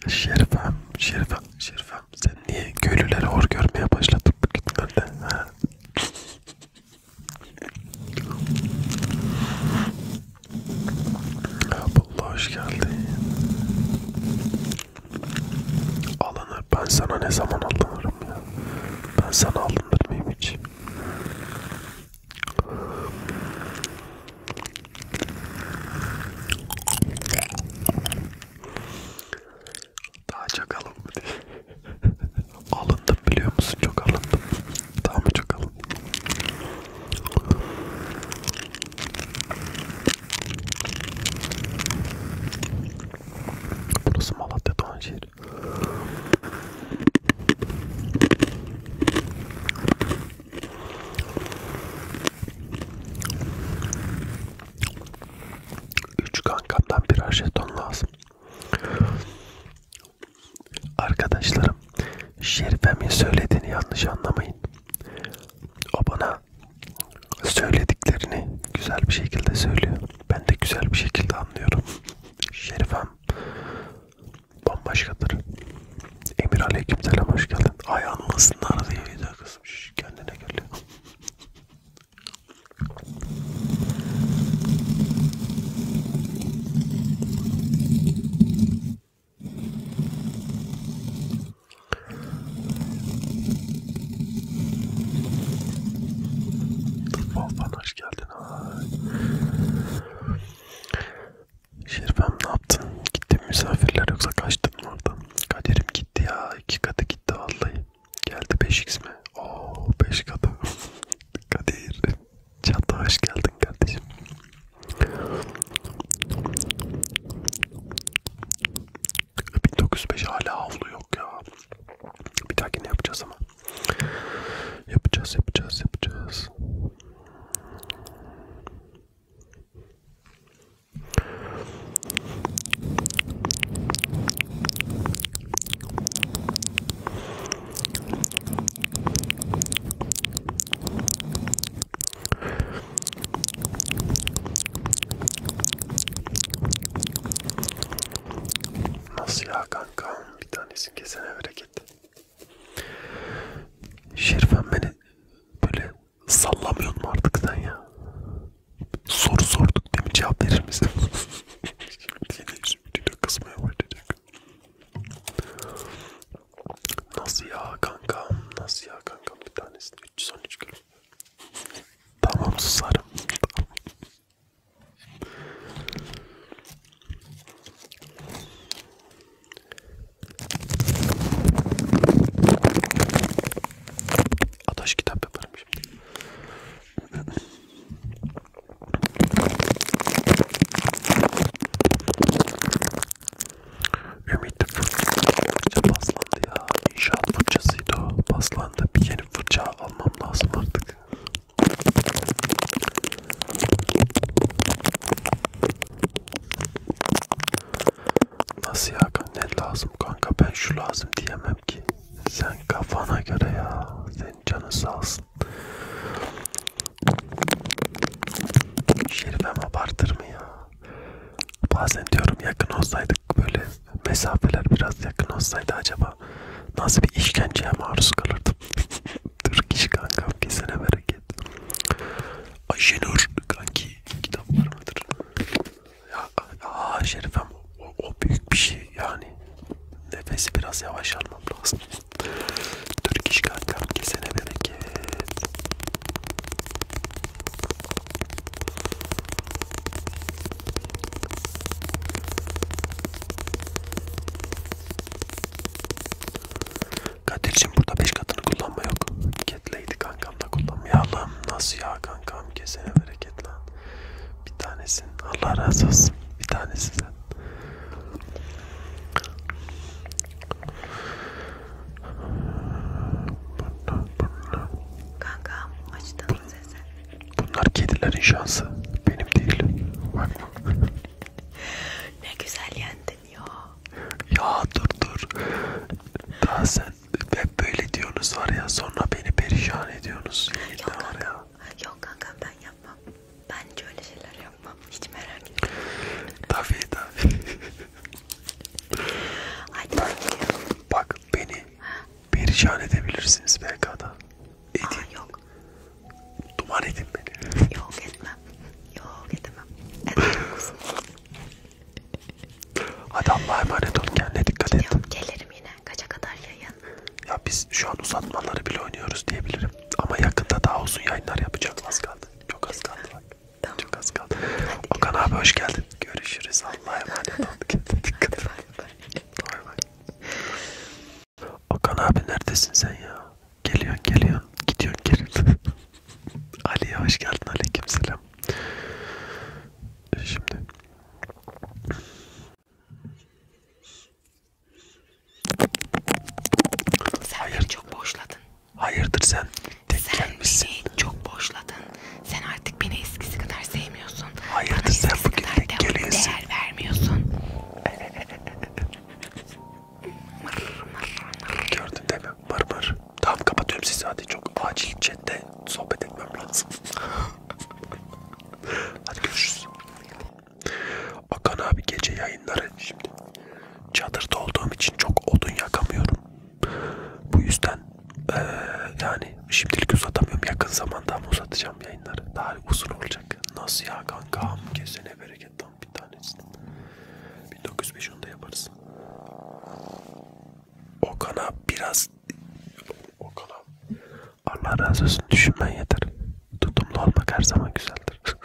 Şerifem, Şerifem, Şerifem sen niye köylüleri hor görmeye başladın bugünlerde? Abdullah hoş geldin. Alınır, ben sana ne zaman alınırım ya? Ben sana alınır mıyım hiç? Daha çok alın mı diye. alındım biliyor musun? Çok alındım. Daha mı çok alındım? Burası Malatya Doğan şehri hayır. Üç kankamdan birer jeton lazım. Arkadaşlarım, Şerife'min söylediğini yanlış anlamayın. O bana söylediklerini güzel bir şekilde söylüyor. Ben de güzel bir şekilde anlıyorum. Şerifem bambaşkadır. Emir aleykümselam hoş geldin. Ayağının ısınlar diye video kızım. Şş, kendine gel. Volkan hoş geldin. Ay. Şerifem ne yaptın? Gittin misafirler yoksa kaçtın mı oradan? Kaderim gitti ya. iki katı gitti vallahi. Geldi 5x mi? Oo 5 katı. Kadir. Çatı hoş geldin kardeşim. E, 1905 hala havlu yok ya. Bir dahaki ne yapacağız ama? Yapacağız, yapacağız, yapacağız. Nasıl ya kanka? Bir tanesini kesene bereket. Şerifen beni böyle sallamıyor mu artık sen ya? Soru sorduk değil mi? Cevap verir misin? Şimdi kısmaya başlayacak. Nasıl ya kankam? Nasıl ya kankam? Bir tanesi 313 kilo. Tamam susarım. Tamam. Ataş kitap yaparım şimdi. Ümit fırça paslandı ya. İnşaat fırçasıydı o. Paslandı. Bir yeni fırça almam lazım artık. Nasıl ya ne lazım kanka ben şu lazım diyemem ki. Sen kafana göre ya. Senin canın sağ olsun. Şerifem abartır mı ya? Bazen diyorum yakın olsaydık böyle mesafeler biraz yakın olsaydı acaba nasıl bir işkenceye maruz kalırdım. Türk iş kanka kesene bereket. Ayşenur kanki kitap var mıdır? Ya, ya Şerifem o, o büyük bir şey yani. Nefesi biraz yavaş almam lazım. Türk iş kankam kesene bereket. Kadir'cim burada 5 katını kullanma yok. Ketleydi kankam da kullanmayalım. Nasıl ya kankam kesene bereket lan. Bir tanesin. Allah razı olsun. Bir tanesi sen. Kankam açtın mı sesi? Bunlar kedilerin şansı. Benim değil. Bakma ne güzel yendin ya. Ya dur dur. Daha sen hep böyle diyorsunuz var ya sonra beni perişan ediyorsunuz. Yok kankam, ya. yok kankam ben yapmam. Bence öyle şeyler yapmam. Hiç merak etme. Tabii tabii. Hadi bak, bak beni ha? perişan edebilirsiniz BK'da. Edin. Aa, yok. Duman edin beni. Yok etmem. Yok edemem. Edemem kuzum. Hadi Allah'a emanet ol. Kendine dikkat et. Yok gelirim yine. Kaça kadar yayın? Ya biz şu an uzatmaları bile oynuyoruz diyebilirim. Ama yakında daha uzun yayınlar yapacağım. Az kaldı. Çok az kaldı bak. Tamam. Çok az kaldı. Hadi Okan görüşürüz. abi hoş geldin. Görüşürüz. Allah'a emanet ol. Kendine dikkat et. Bay bay. Okan abi neredesin sen ya? Geliyorsun geliyorsun. Gidiyorsun geri. Ali'ye hoş geldin. Aleyküm selam. Şimdi. Sen Hayır. çok boşladın. Hayırdır sen? Tek sen gelmişsin. beni çok boşladın. Sen artık beni eskisi kadar sevmiyorsun. Hayırdır Bana sen bugün tek değer vermiyorsun. Gördün değil mi? Mır mır. Tamam kapatıyorum sizi hadi çok acil chatte sohbet etmem lazım. hadi görüşürüz. Akan abi gece yayınları şimdi. Çadırda olduğum için çok odun yakamıyorum. Bu yüzden ee, yani şimdilik uzatamıyorum. Yakın zamanda uzatacağım yayınları. Daha uzun olacak. Nasıl ya kankam? Kesene bereket bir tanesini. 1905 onda yaparız. Okan'a biraz Okan'a Allah razı olsun düşünmen yeter. Tutumlu olmak her zaman güzeldir.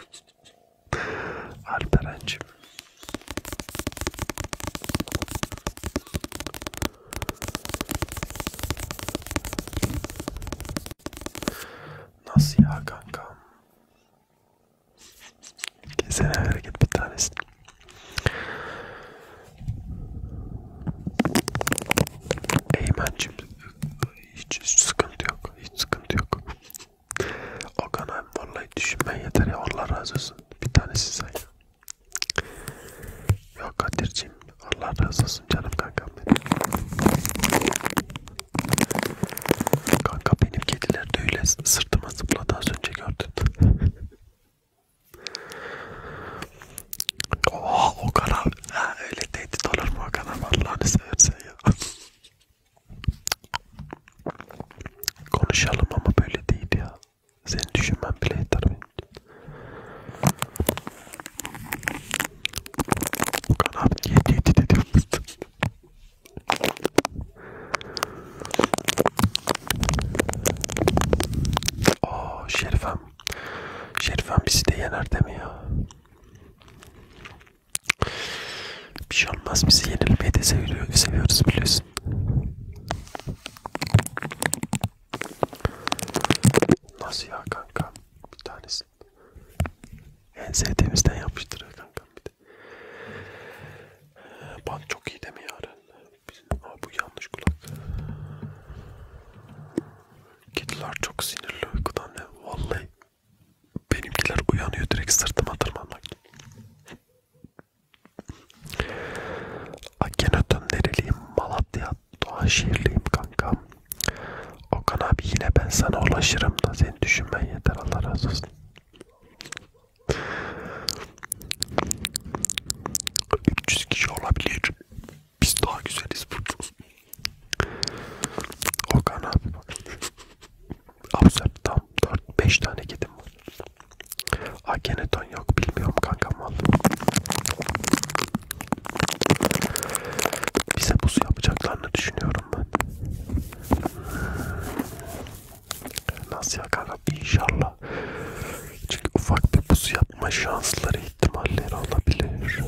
Alperen'cim. Nasıl ya kankam? Kesene hareket bir tanesi. Eymen'cim hiç, hiç sıkıntı yok. Hiç sıkıntı yok. Okan abi vallahi düşünmen yeter ya. Allah razı olsun. Bir tanesi sen ya. Yok Kadir'cim Allah razı olsun canım kankam benim. Kanka benim kediler de öyle sırtıma zıpladı az önce gördün. Oha o kadar ha, öyle tehdit olur mu o kadar Allah'ını seversen ya. Konuşalım ama böyle değil ya. Seni düşünmem bile yeter benim için. Kanal niye tehdit ediyormuşsun? Aa Şerifem. Şerifem bizi de yener değil mi ya? Bir şey olmaz bizi yenilmeyi de seviyor, seviyoruz biliyorsun. Nasıl ya kanka? Bir tane olsun. En sevdiğimizden yapmıştır ya kankam bir de. Bant çok iyi demiyor Aren. Aa, bu yanlış kulak. Kediler çok sinirli uykudan ya. Vallahi benimkiler uyanıyor direkt sırtıma tırmanmak. Akenatön nereliyim? Malatya. Doğaşehirliyim kankam. Okan abi yine ben sana ulaşırım da seni düşünmen yeter Allah razı olsun. Üç kişi olabilir. Biz daha güzeliz burcuz. Okan abi bak. Absürt tam 4-5 tane kedim var. Akeneton yok bilmiyorum kankam vallahi. Bize buz yapacaklarını düşünüyorum istiyorum ben. Nasıl ya kanka? İnşallah. Çünkü ufak bir buz yapma şansları ihtimalleri olabilir.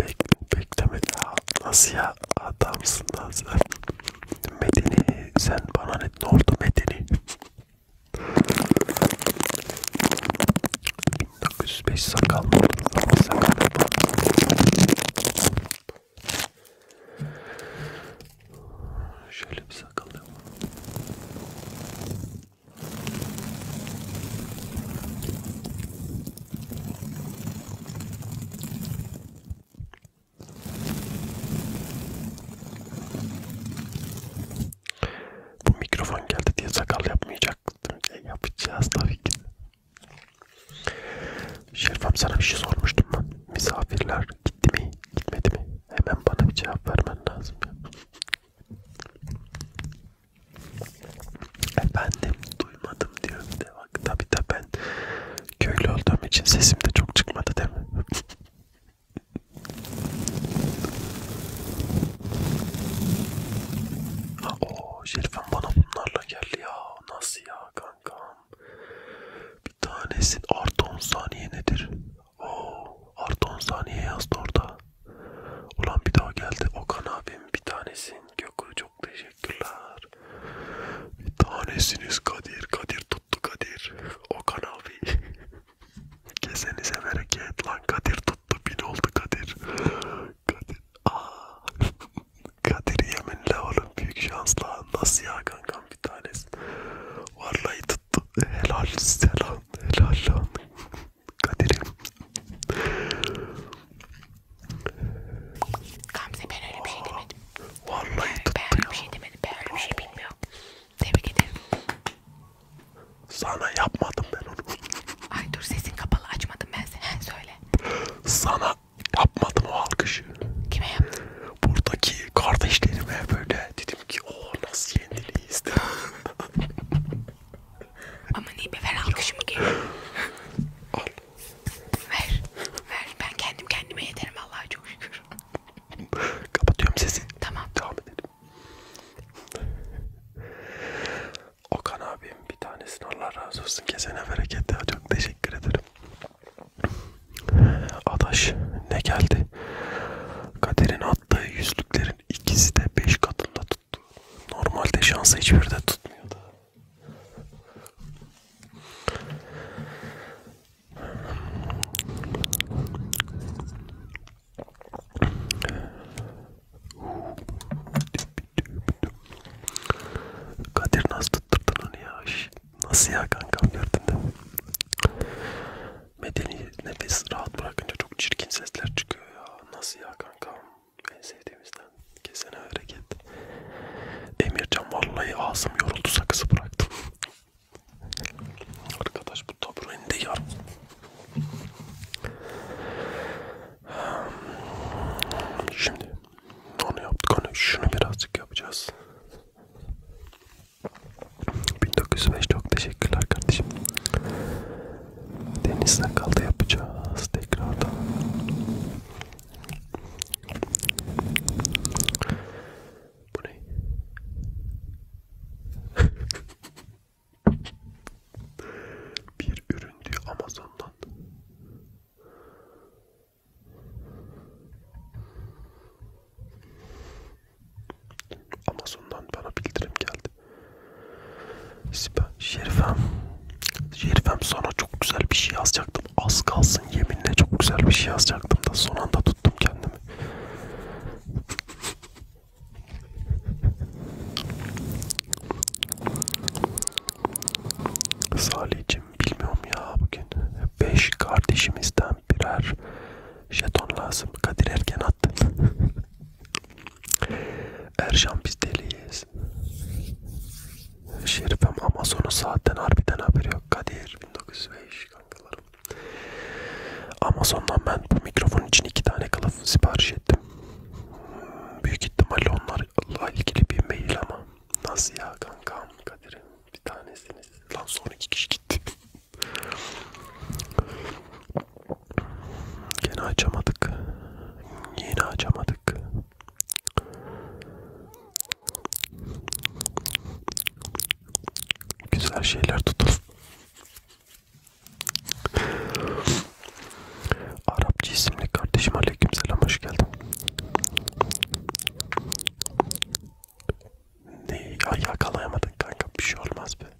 Bek, bekleme ya. Nasıl ya? Adamsın lan sen. Medeni sen bana ne, ne oldu Medeni? 1905 sakal mı olur? Sakal Şöyle bir sakal yapalım. Bu mikrofon geldi diye sakal yapmayacaktım. E, yapacağız tabii ki. Şerifem sana bir şey sormuştum ben. Misafirler gitti mi, gitmedi mi? Hemen bana bir cevap vermen lazım. Ya. Efendim duymadım diyorum de bak tabi de ben köylü olduğum için sesim de çok çıkmadı değil mi? Ooo Şerifem bana bunlarla geldi ya nasıl ya kankam? Bir tanesin artı 10 saniye nedir? Oo, artı 10 saniye yazdı orada. Ulan bir daha geldi. Okan abim bir tanesin. Gökü çok teşekkürler. Bir tanesiniz Kadir. Kadir tuttu Kadir. Okan abi. Kesenize bereket lan Kadir tuttu. Bin oldu Kadir. Kadir. Aa. Kadir yeminle oğlum büyük şansla. Nasıl ya kankam bir tanesin. Vallahi tuttu. Helal selam. Helal lan. Kaderim. Gamze ben öyle bir şey demedim. Vallahi tuttu Ben öyle bir şey demedim. Ben öyle bir şey bilmiyorum. Tebrik ederim. Sana yapmadım ben onu. Ay dur sesin kapalı açmadım ben seni. He söyle. Sana yapmadım o alkışı. Kime yaptın? Buradaki kardeşlerime böyle dedim ki o nasıl yendiliyiz Aman iyi be ver alkışımı geri. Al. Ver. Ver. Ben kendim kendime yeterim Allah'a çok şükür. Kapatıyorum sesi. Tamam. Devam edelim. Okan abim bir tanesini Allah razı olsun kesene berekette çok teşekkür ederim. Adaş ne geldi? Kaderin attığı yüzlükleri Bunların ikisi de 5 katında tuttu. Normalde şansı hiçbiri de tutmuyordu. Kadir nasıl tutturdun onu ya? Nasıl ya kankam gördün de? Medeni nefes rahat bırakınca çok çirkin sesler çıkıyor ya. Nasıl ya kankam? En sevdiğimizden. Kesene hareket. Emircan vallahi ağzım yoruldu sakızı bıraktım. Arkadaş bu tabureni de yar. Şimdi onu yaptık onu şunu birazcık yapacağız. 1905 çok teşekkürler kardeşim. Deniz sakalda yapacağız tekrardan. Bu ne? Bir ürün diyor Amazon'dan. Amazon'dan bana bildirim geldi. Şerifem. Şerifem sana çok güzel bir şey yazacaktım. Az kalsın yeminle çok güzel bir şey yazacaktım da son anda tuttum kendimi. Salih'cim bilmiyorum ya bugün. Beş kardeşimizden birer jeton lazım. Kadir erken attı. Erşan biz deliyiz. Şerifem Amazon'un saatten harbiden haberi yok. Kadir 1905 kankalarım. Amazon'dan ben bu mikrofon için iki tane kılıf sipariş ettim. Büyük ihtimalle onlarla ilgili bir mail ama. Nasıl ya kankam Kadir'im bir tanesiniz. Lan son iki kişi gitti. Gene açamadık. Yine açamadık. Güzel şeyler tutulur. Arapça isimli kardeşim aleykümselam hoş geldin. Ne ya yakalayamadık kanka bir şey olmaz be.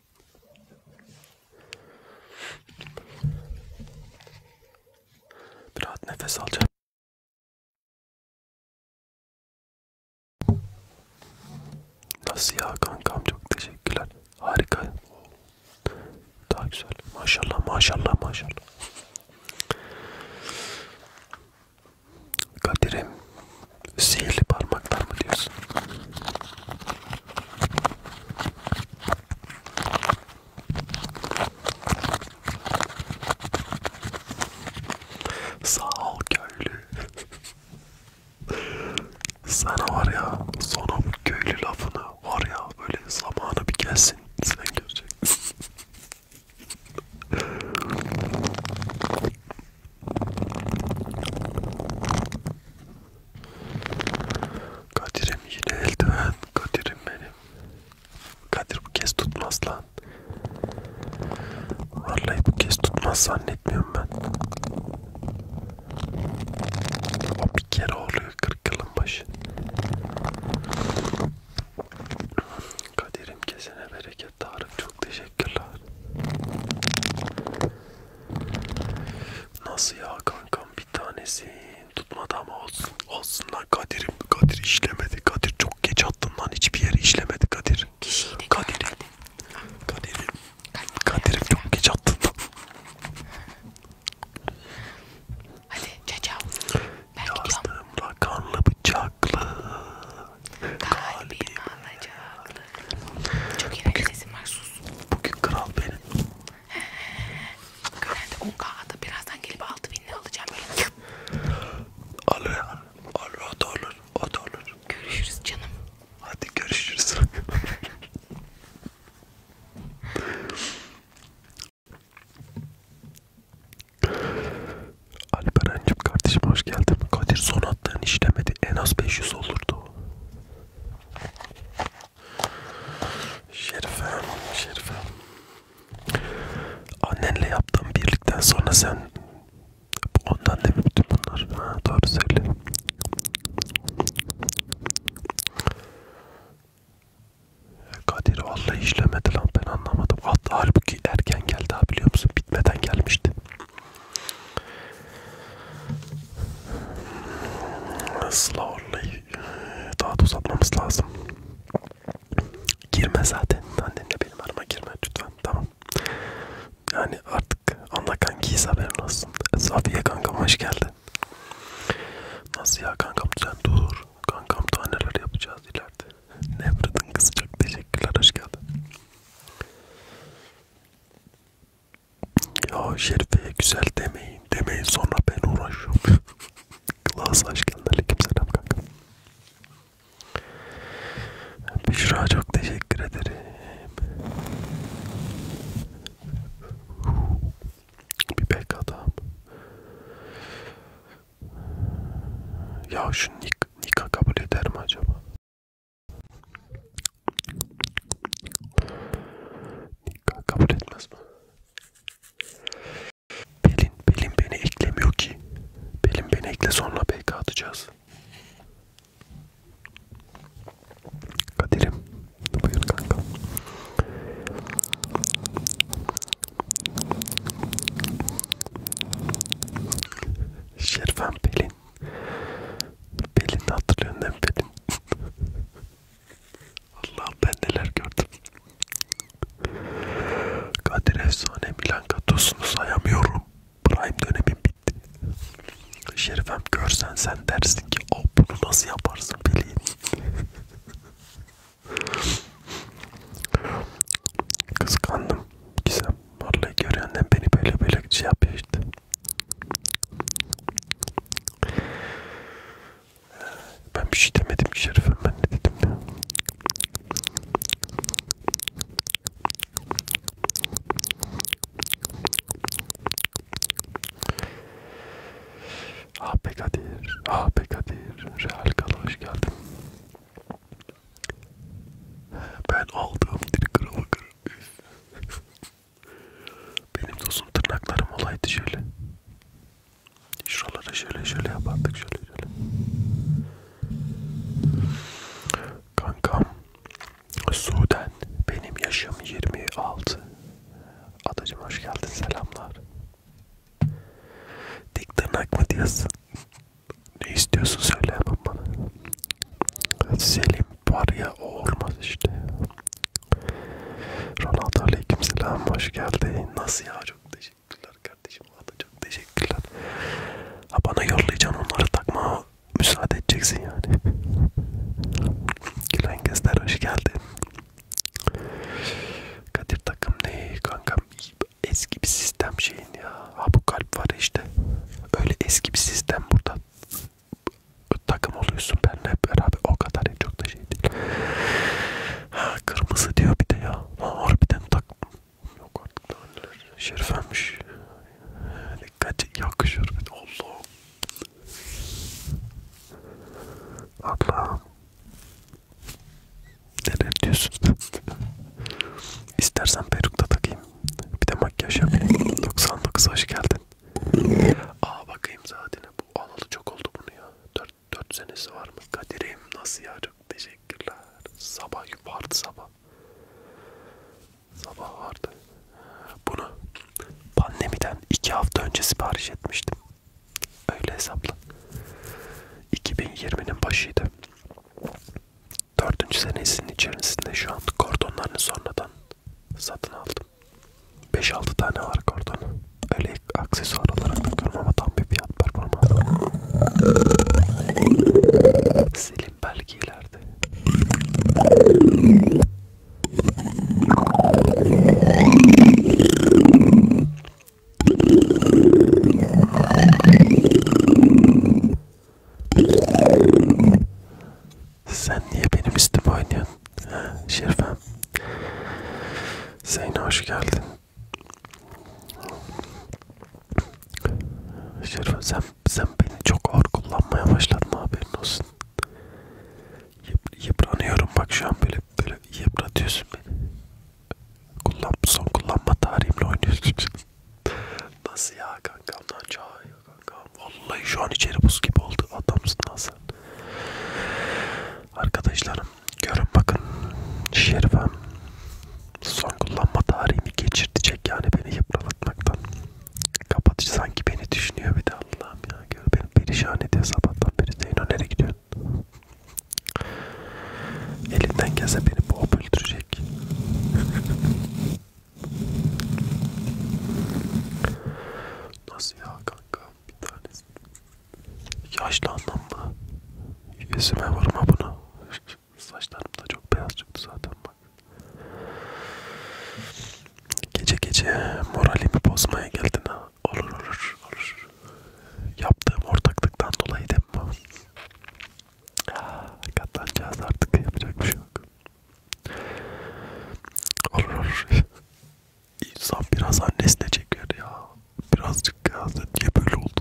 Bir rahat nefes alacağım. Nasıl ya kankam çok teşekkürler. Harika. Daha güzel. Maşallah maşallah maşallah. Kadir'im Sihirli parmaklar mı diyorsun? Sağ ol köylü. Sana var ya son o köylü lafını var ya böyle zamanı bir gelsin sen göreceksin. Kadir'im yine eldiven. Kadir'im benim. Kadir bu kez tutmaz lan. Vallahi bu kez tutmaz zannetmiyorum ben. O bir kere oluyor kırk yılın başı. Kadir'im kesene bereket Tarık çok teşekkürler. Nasıl ya kankam bir tanesi tutmadı ama olsun. Olsun lan Kadir'im. Kadir işlemedi. Kadir çok geç attın lan. Hiçbir yere işlemedi Kadir. Kadir'im. Kadir'im. Kadir'im Kadir çok geç attın lan. Hadi cacav. Ben Yazdım gidiyorum. Yazdım kanlı bıçaklı. Kalbim alacaklı. Çok iğrenç sesim var sus sus. Bugün kral benim. Görende 10 kağıda birazdan gelip 6000'le alacağım böyle. Alır, alır, o da olur, o da olur. Görüşürüz canım. Hadi görüşürüz. Alperen'cim kardeşim hoş geldin. Kadir son attığın işlemedi. En az 500 olurdu. Şerifem, Şerifem. Annenle yaptığım birlikten sonra sen ondan da bütün bunlar. Ha, doğru söyle. Kadir vallahi işlemedi lan ben anlamadım. Hatta halbuki erken geldi ha biliyor musun? Bitmeden gelmişti. Slowly daha da uzatmamız lazım. Girme zaten. Annenle benim arama girme lütfen. Tamam. Yani artık anla kankiyiz haberin olsun. Safiye kankam hoş geldin. Nasıl ya kankam sen dur. Kankam daha neler yapacağız ileride. Nevret'in kızı çok teşekkürler hoş geldin. Ya Şerife'ye güzel demeyin. Demeyin sonra ben uğraşıyorum. Klas aşk geldi. Aleykümselam kanka. Büşra çok teşekkür ederim. Bir bek adam. Ya şu Nika kabul eder mi acaba? Kabul etmez mi? Pelin, Pelin beni eklemiyor ki. Pelin beni ekle sonra BK atacağız. Kadir'im, buyur kanka. Şerfen Pelin, Belin hatırlıyorsun değil mi Belin? Allah'ım ben neler gördüm. Kadir Efsane Milan katosunu sayamıyorum. Prime dönemim bitti. Şerifem görsen sen dersin ki o bunu nasıl yaparsın Belin? Kıskandım. Gizem. Vallahi görenden beni böyle böyle şey yapıyor işte. Ben bir şey demedim ki Şerif'e ben ne dedim ya? Ah be Kadir, ah be Kadir, Real Gala hoş geldin. Ben aldığım dil kralı kırım. Benim dostum tırnaklarım olaydı şöyle. Şuralara şöyle şöyle yapardık şöyle şöyle. Kankam Sudan benim yaşım 26. Adacım hoş geldin selamlar. Dik tırnak mı diyorsun? ne istiyorsun söyle yapın bana. Selim var ya o olmaz işte. Ronaldo aleykümselam hoş geldin. Nasıl ya çok teşekkürler kardeşim. Valla çok teşekkürler. Ha bana yollayacaksın onları takma. Müsaade edeceksin yani. Gülen Gezler hoş geldin. Kadir takım ne kankam? Eski bir sistem şeyin ya. Ha bu kalp var işte. Öyle eski bir sistem burada takım oluyorsun benle beraber o kadar en çok da şey değil. Ha, kırmızı diyor bir de ya. Lan harbiden takım. Yok artık daha neler. Şerif ölmüş. Dikkat yakışır. Allah. Allah. Neler diyorsun? İstersen peruk da takayım. Bir de makyaj yapayım. 99 hoş geldin. Aa bakayım zaten bu alalı çok oldu bunu ya. 4 4 senesi var mı? Kadir'im nasıl ya? Çok teşekkürler. Sabah vardı sabah. Sabah vardı. Bunu pandemiden 2 hafta önce sipariş etmiştim. Öyle hesapla. 2020'nin başıydı. 4. senesinin içerisinde şu an kordonlarını sonradan satın aldım. 5-6 tane var kordon. Öyle aksesuar olarak bakıyorum ama tam bir fiyat performansı. Selim belki ileride. Sen niye benim üstüme oynuyorsun? Ha, Şerifem. Zeyno hoş geldin. Şerifem sen, sen beni çok ağır kullanmaya başladın haberin olsun. Yıp, yıpranıyorum bak şu an böyle böyle yıpratıyorsun beni. Kullan, son kullanma tarihimle oynuyorsun. Nasıl ya kankam lan çay ya kanka. Vallahi şu an içeri buz gibi oldu. Adamsın Hasan. Arkadaşlarım görün bakın. Şerifem son kullanma tarihimi geçirtecek yani beni yıpratmaktan. Kapatıcı sanki beni düşünüyor bir de Allah'ım ya. Gör beni perişan ediyor sabahtan beri. Zeyno nereye gidiyorsun? Elinden gelse beni boğup öldürecek. Nasıl ya kanka bir tanesi. Yaşlandım mı? Yüzüme vurma bunu. Saçlarım da çok beyaz çıktı zaten bak. Gece gece moralimi bozmaya geldin ha. Olur olur olur. Yaptığım ortaklıktan dolayı değil mi? Katlanacağız artık yapacak bir şey yok. Olur olur. İnsan biraz annesine çeker ya. Birazcık ya. Niye böyle oldu?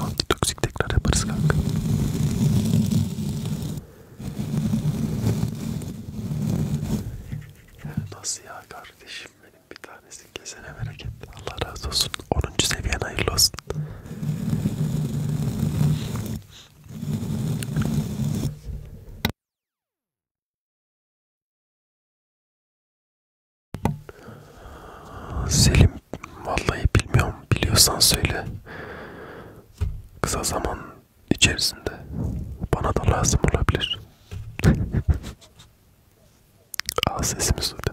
Antitoksik tekrar yaparız kanka. Nasıl ya kardeşim senin bir tanesin kesene bereket. Allah razı olsun. 10. seviyen hayırlı olsun. Selim vallahi bilmiyorum biliyorsan söyle kısa zaman içerisinde bana da lazım olabilir. Al sesimi suda.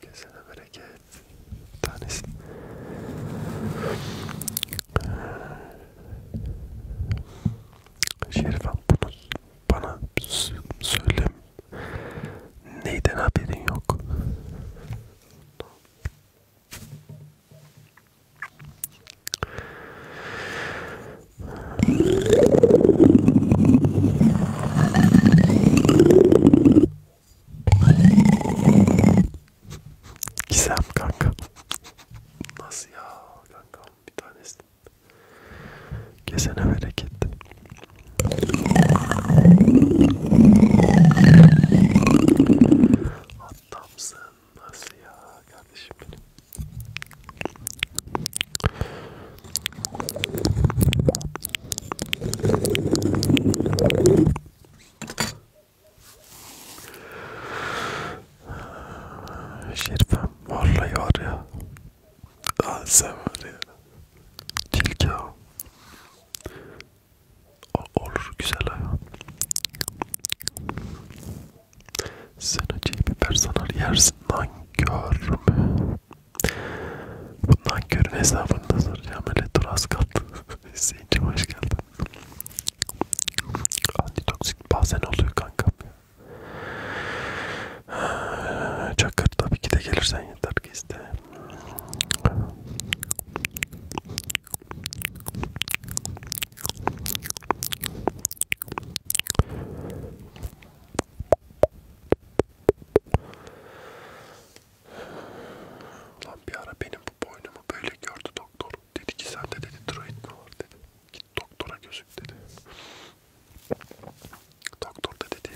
Kesene bereket. Tanesi. Şerifem bunu bana söyle. Neyden haberin yok? Gizem kanka. Nasıl ya kanka bir tanesi. Kesene bereket. Adamsın nasıl ya kardeşim benim. Şerifem vallahi var ya. Lan sen var ya. Tilki o. Olur güzel hayvan. Sen acı biber sanar yersin lan görme. Bundan körün hesabını da soracağım. Öyle dur az kaldı. Hüseyin'cim hoş geldin. Antitoksik bazen oluyor kankam ya. Çakır tabii ki de gelirsen yeter ki iste. Lan bir ara benim bu boynumu böyle gördü doktor. Dedi ki sende dedi tiroid mi var dedi. Git doktora gözük dedi. Doktor da dedi.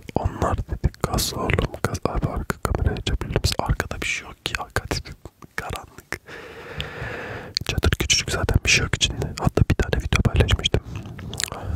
Onlar dedi gaz oğlum gaz. Abi arka kamerayı açabilir misin? Arkada bir şey yok ki. Arkada karanlık. Çadır küçücük zaten bir şey yok içinde. Hatta bir tane video paylaşmıştım.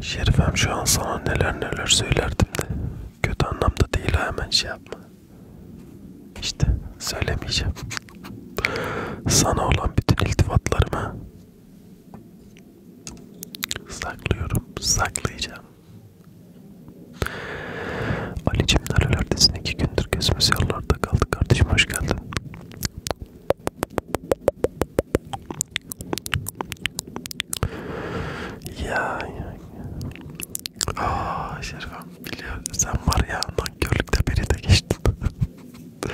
Şerifem şu an sana neler neler söylerdim de. Kötü anlamda değil ha hemen şey yapma. İşte söylemeyeceğim. Sana olan bütün iltifatlarımı saklıyorum, saklayacağım. Ali'cim nerelerdesin? İki gündür gözümüz yollarda kaldı. Kardeşim hoş geldin. Ya ya ya. Aa Şerifem biliyor sen var ya nankörlükte beni de geçtin.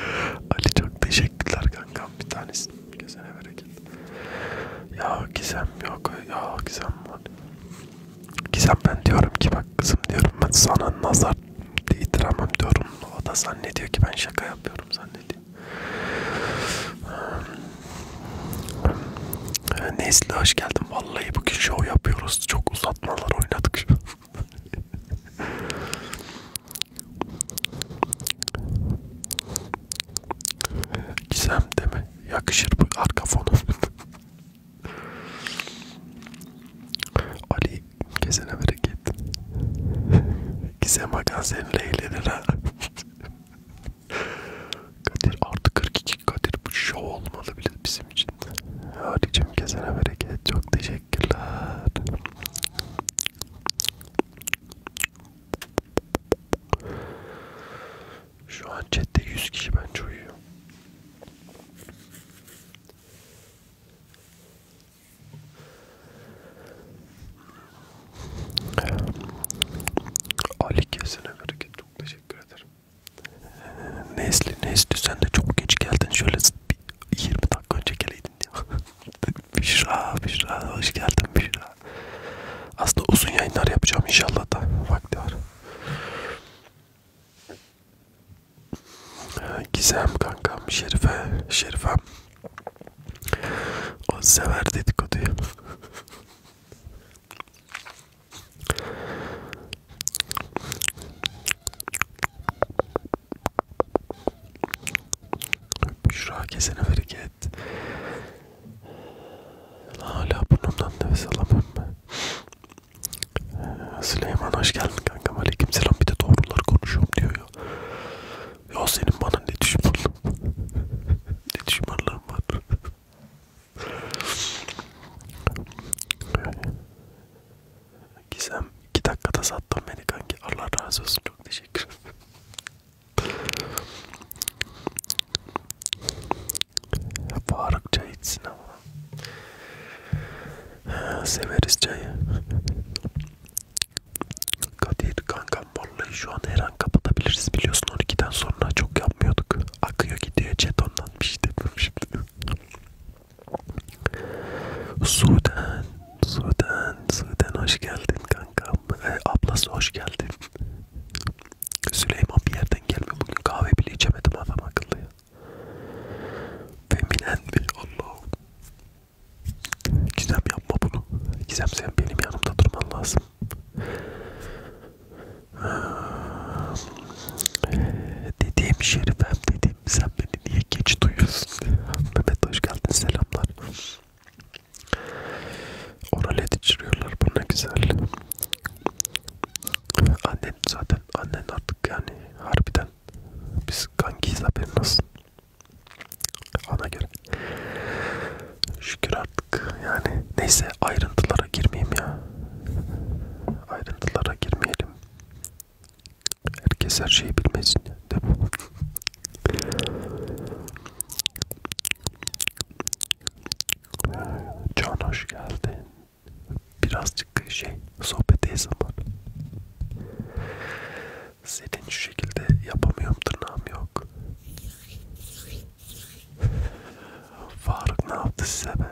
Ali çok teşekkürler kankam bir tanesi. Kesene bereket. Ya Gizem yok ya Gizem var. Gizem ben diyorum ki bak kızım diyorum ben sana nazar değdiremem diyorum. O da zannediyor ki ben şaka yapıyorum zannediyor. Nesli hoş geldin. Vallahi bugün show yapıyoruz. Çok uzatmalar oynadık. Gizem değil mi? Yakışır bu arka fonu. Ali kesene bereket. Gizem Hakan seninle eğlenir ha. Kadir artı 42 Kadir bu şov olmalı bile bizim için. Haricim kesene bereket çok teşekkürler. Şu an chatte 100 kişi bence uyuyor. Ali kesene bereket çok teşekkür ederim. Nesli Nesli sen de çok geç geldin şöyle 20 dakika önce geleydin diye. Büşra Büşra hoş geldin Büşra. Aslında uzun yayınlar yapacağım inşallah da vakti var. Gizem kankam Şerife Şerifem o sever dedikoduyu. Büşra kesene hareket. Hala burnumdan nefes alamam ben. Ee, Süleyman hoş geldin kankam. Aleyküm selam. Bir de doğruları konuşuyorum diyor ya. Ya senin bana ne düşmanlığın Ne düşmanlığın var Gizem iki dakikada sattın beni kanki Allah razı olsun çok teşekkür Faruk çay içsin ama Severiz çayı Kadir kankam vallahi şu an her an kapatabiliriz biliyorsun 12'den sonra çok yapmıyorduk. Akıyor gidiyor chat ondan bir şey demiyorum şimdi. Sudan, Sudan, Sudan hoş geldin kankam. E, ablası hoş geldin. Süleyman bir yerden gelme bugün kahve bile içemedim adam akıllı ya. Feminen mi? Allah'ım. Gizem yapma bunu. Gizem sen benim yanımda durman lazım. Dediğim şerifem dediğim sen beni niye geç duyuyorsun? Mehmet hoş geldin selamlar. Oral ediştiriyorlar bu ne güzel. Annen zaten annen artık yani harbiden biz kankiyiz haberin olsun. Ona göre. Şükür artık yani. Neyse ayrıntılara girmeyeyim ya. Ayrıntılara girmeyelim. Herkes her şeyi bilmesin. Değil mi? Can hoş geldin. Birazcık şey sohbet zaman. Senin şu şekilde yapamıyorum tırnağım yok. Faruk ne yaptı size be?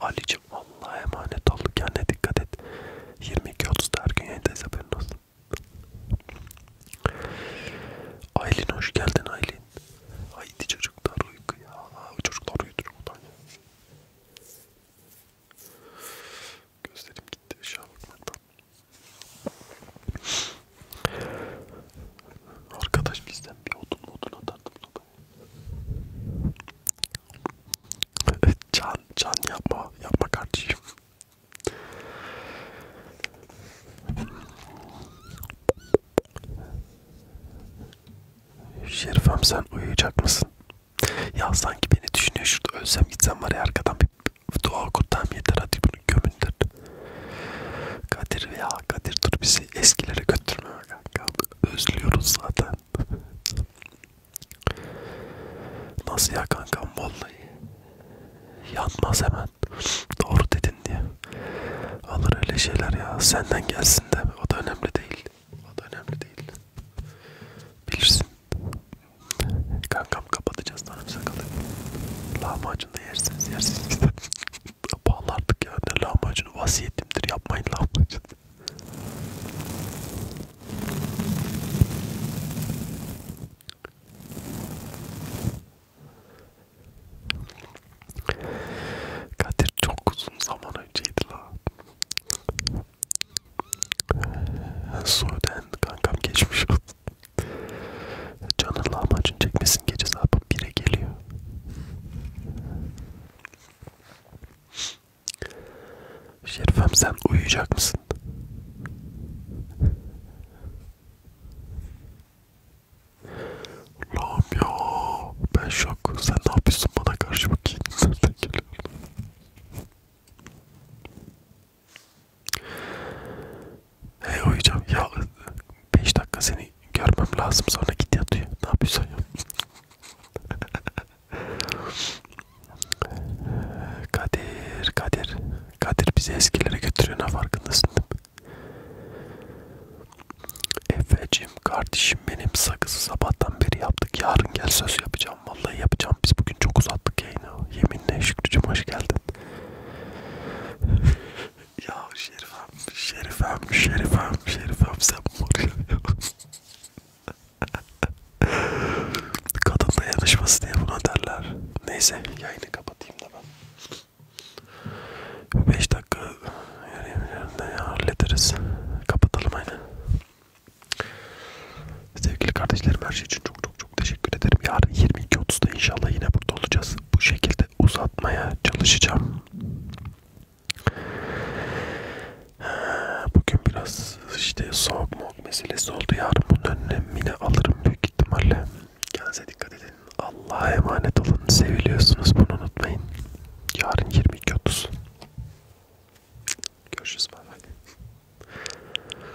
Ali'cim Allah'a emanet ol. Kendine dikkat et. 22.30'da her gün yayındayız haberin olsun. Aylin hoş geldin Aylin. Haydi çocuklar uyku ya. Çocuklar uyudur buradan ya. Gözlerim gitti. Şahı bakmaktan. Arkadaş bizden bir odun odun atardım sopayı. Can, can yapma, yapma kardeşim. Şerifem sen uyuyacak mısın? Ya sanki beni düşünüyor şurada ölsem gitsem var ya arkadan bir dua oku tam yeter hadi bunu gömündür. Kadir veya Kadir dur bizi eskilere götürme kanka. Özlüyoruz zaten. Nasıl ya kanka vallahi yanmaz hemen. Doğru dedin diye. Alır öyle şeyler ya. Senden gelsin de. O da önemli değil. O da önemli değil. Bilirsin. Kankam kapatacağız tanrım sakalı. Lahmacun da yersiniz yersiniz. Pahalı artık ya. Ne lahmacunu vasiyetimdir. Yapmayın lahmacun. Kadir çok uzun zaman önceydi la. Sudan kankam geçmiş olsun. Canın lahmacun çekmesin gece saat 1'e geliyor. Şerifem sen uyuyacak mısın? Allah'ım ya ben şok. Sen ne yapıyorsun bana karşı bakayım? Nereden geliyorsun? Hey uyuyacağım ya 5 dakika seni görmem lazım sonra git yatıyor. Ne yapıyorsun ya? Kadir, Kadir, Kadir bizi eskilere götürüyor ne farkındasın değil mi? Efe'cim kardeşim benim sakızı sabahtan beri yaptık yarın gel söz yapacağım vallahi yapacağım biz bugün çok uzattık yayını yeminle Şükrücüm hoş geldin ya Şerifem, Şerifem, Şerifem, Şerifem sen buraya Kadın dayanışması diye buna derler. Neyse yayını kapatayım da ben. 5 dakika yerinde hallederiz. Kapatalım aynı. Sevgili kardeşlerim her şey için çok çok çok teşekkür ederim. Yarın 22.30'da inşallah yine burada olacağız. Bu şekilde uzatmaya çalışacağım. Bugün biraz işte soğuk moğuk meselesi oldu. Yarın bunun önlemini alırım büyük ihtimalle. Kendinize dikkat edin. Allah'a emanet olun. Seviliyorsunuz bunu unutmayın. Yarın 22.30. Görüşürüz. Bye bye.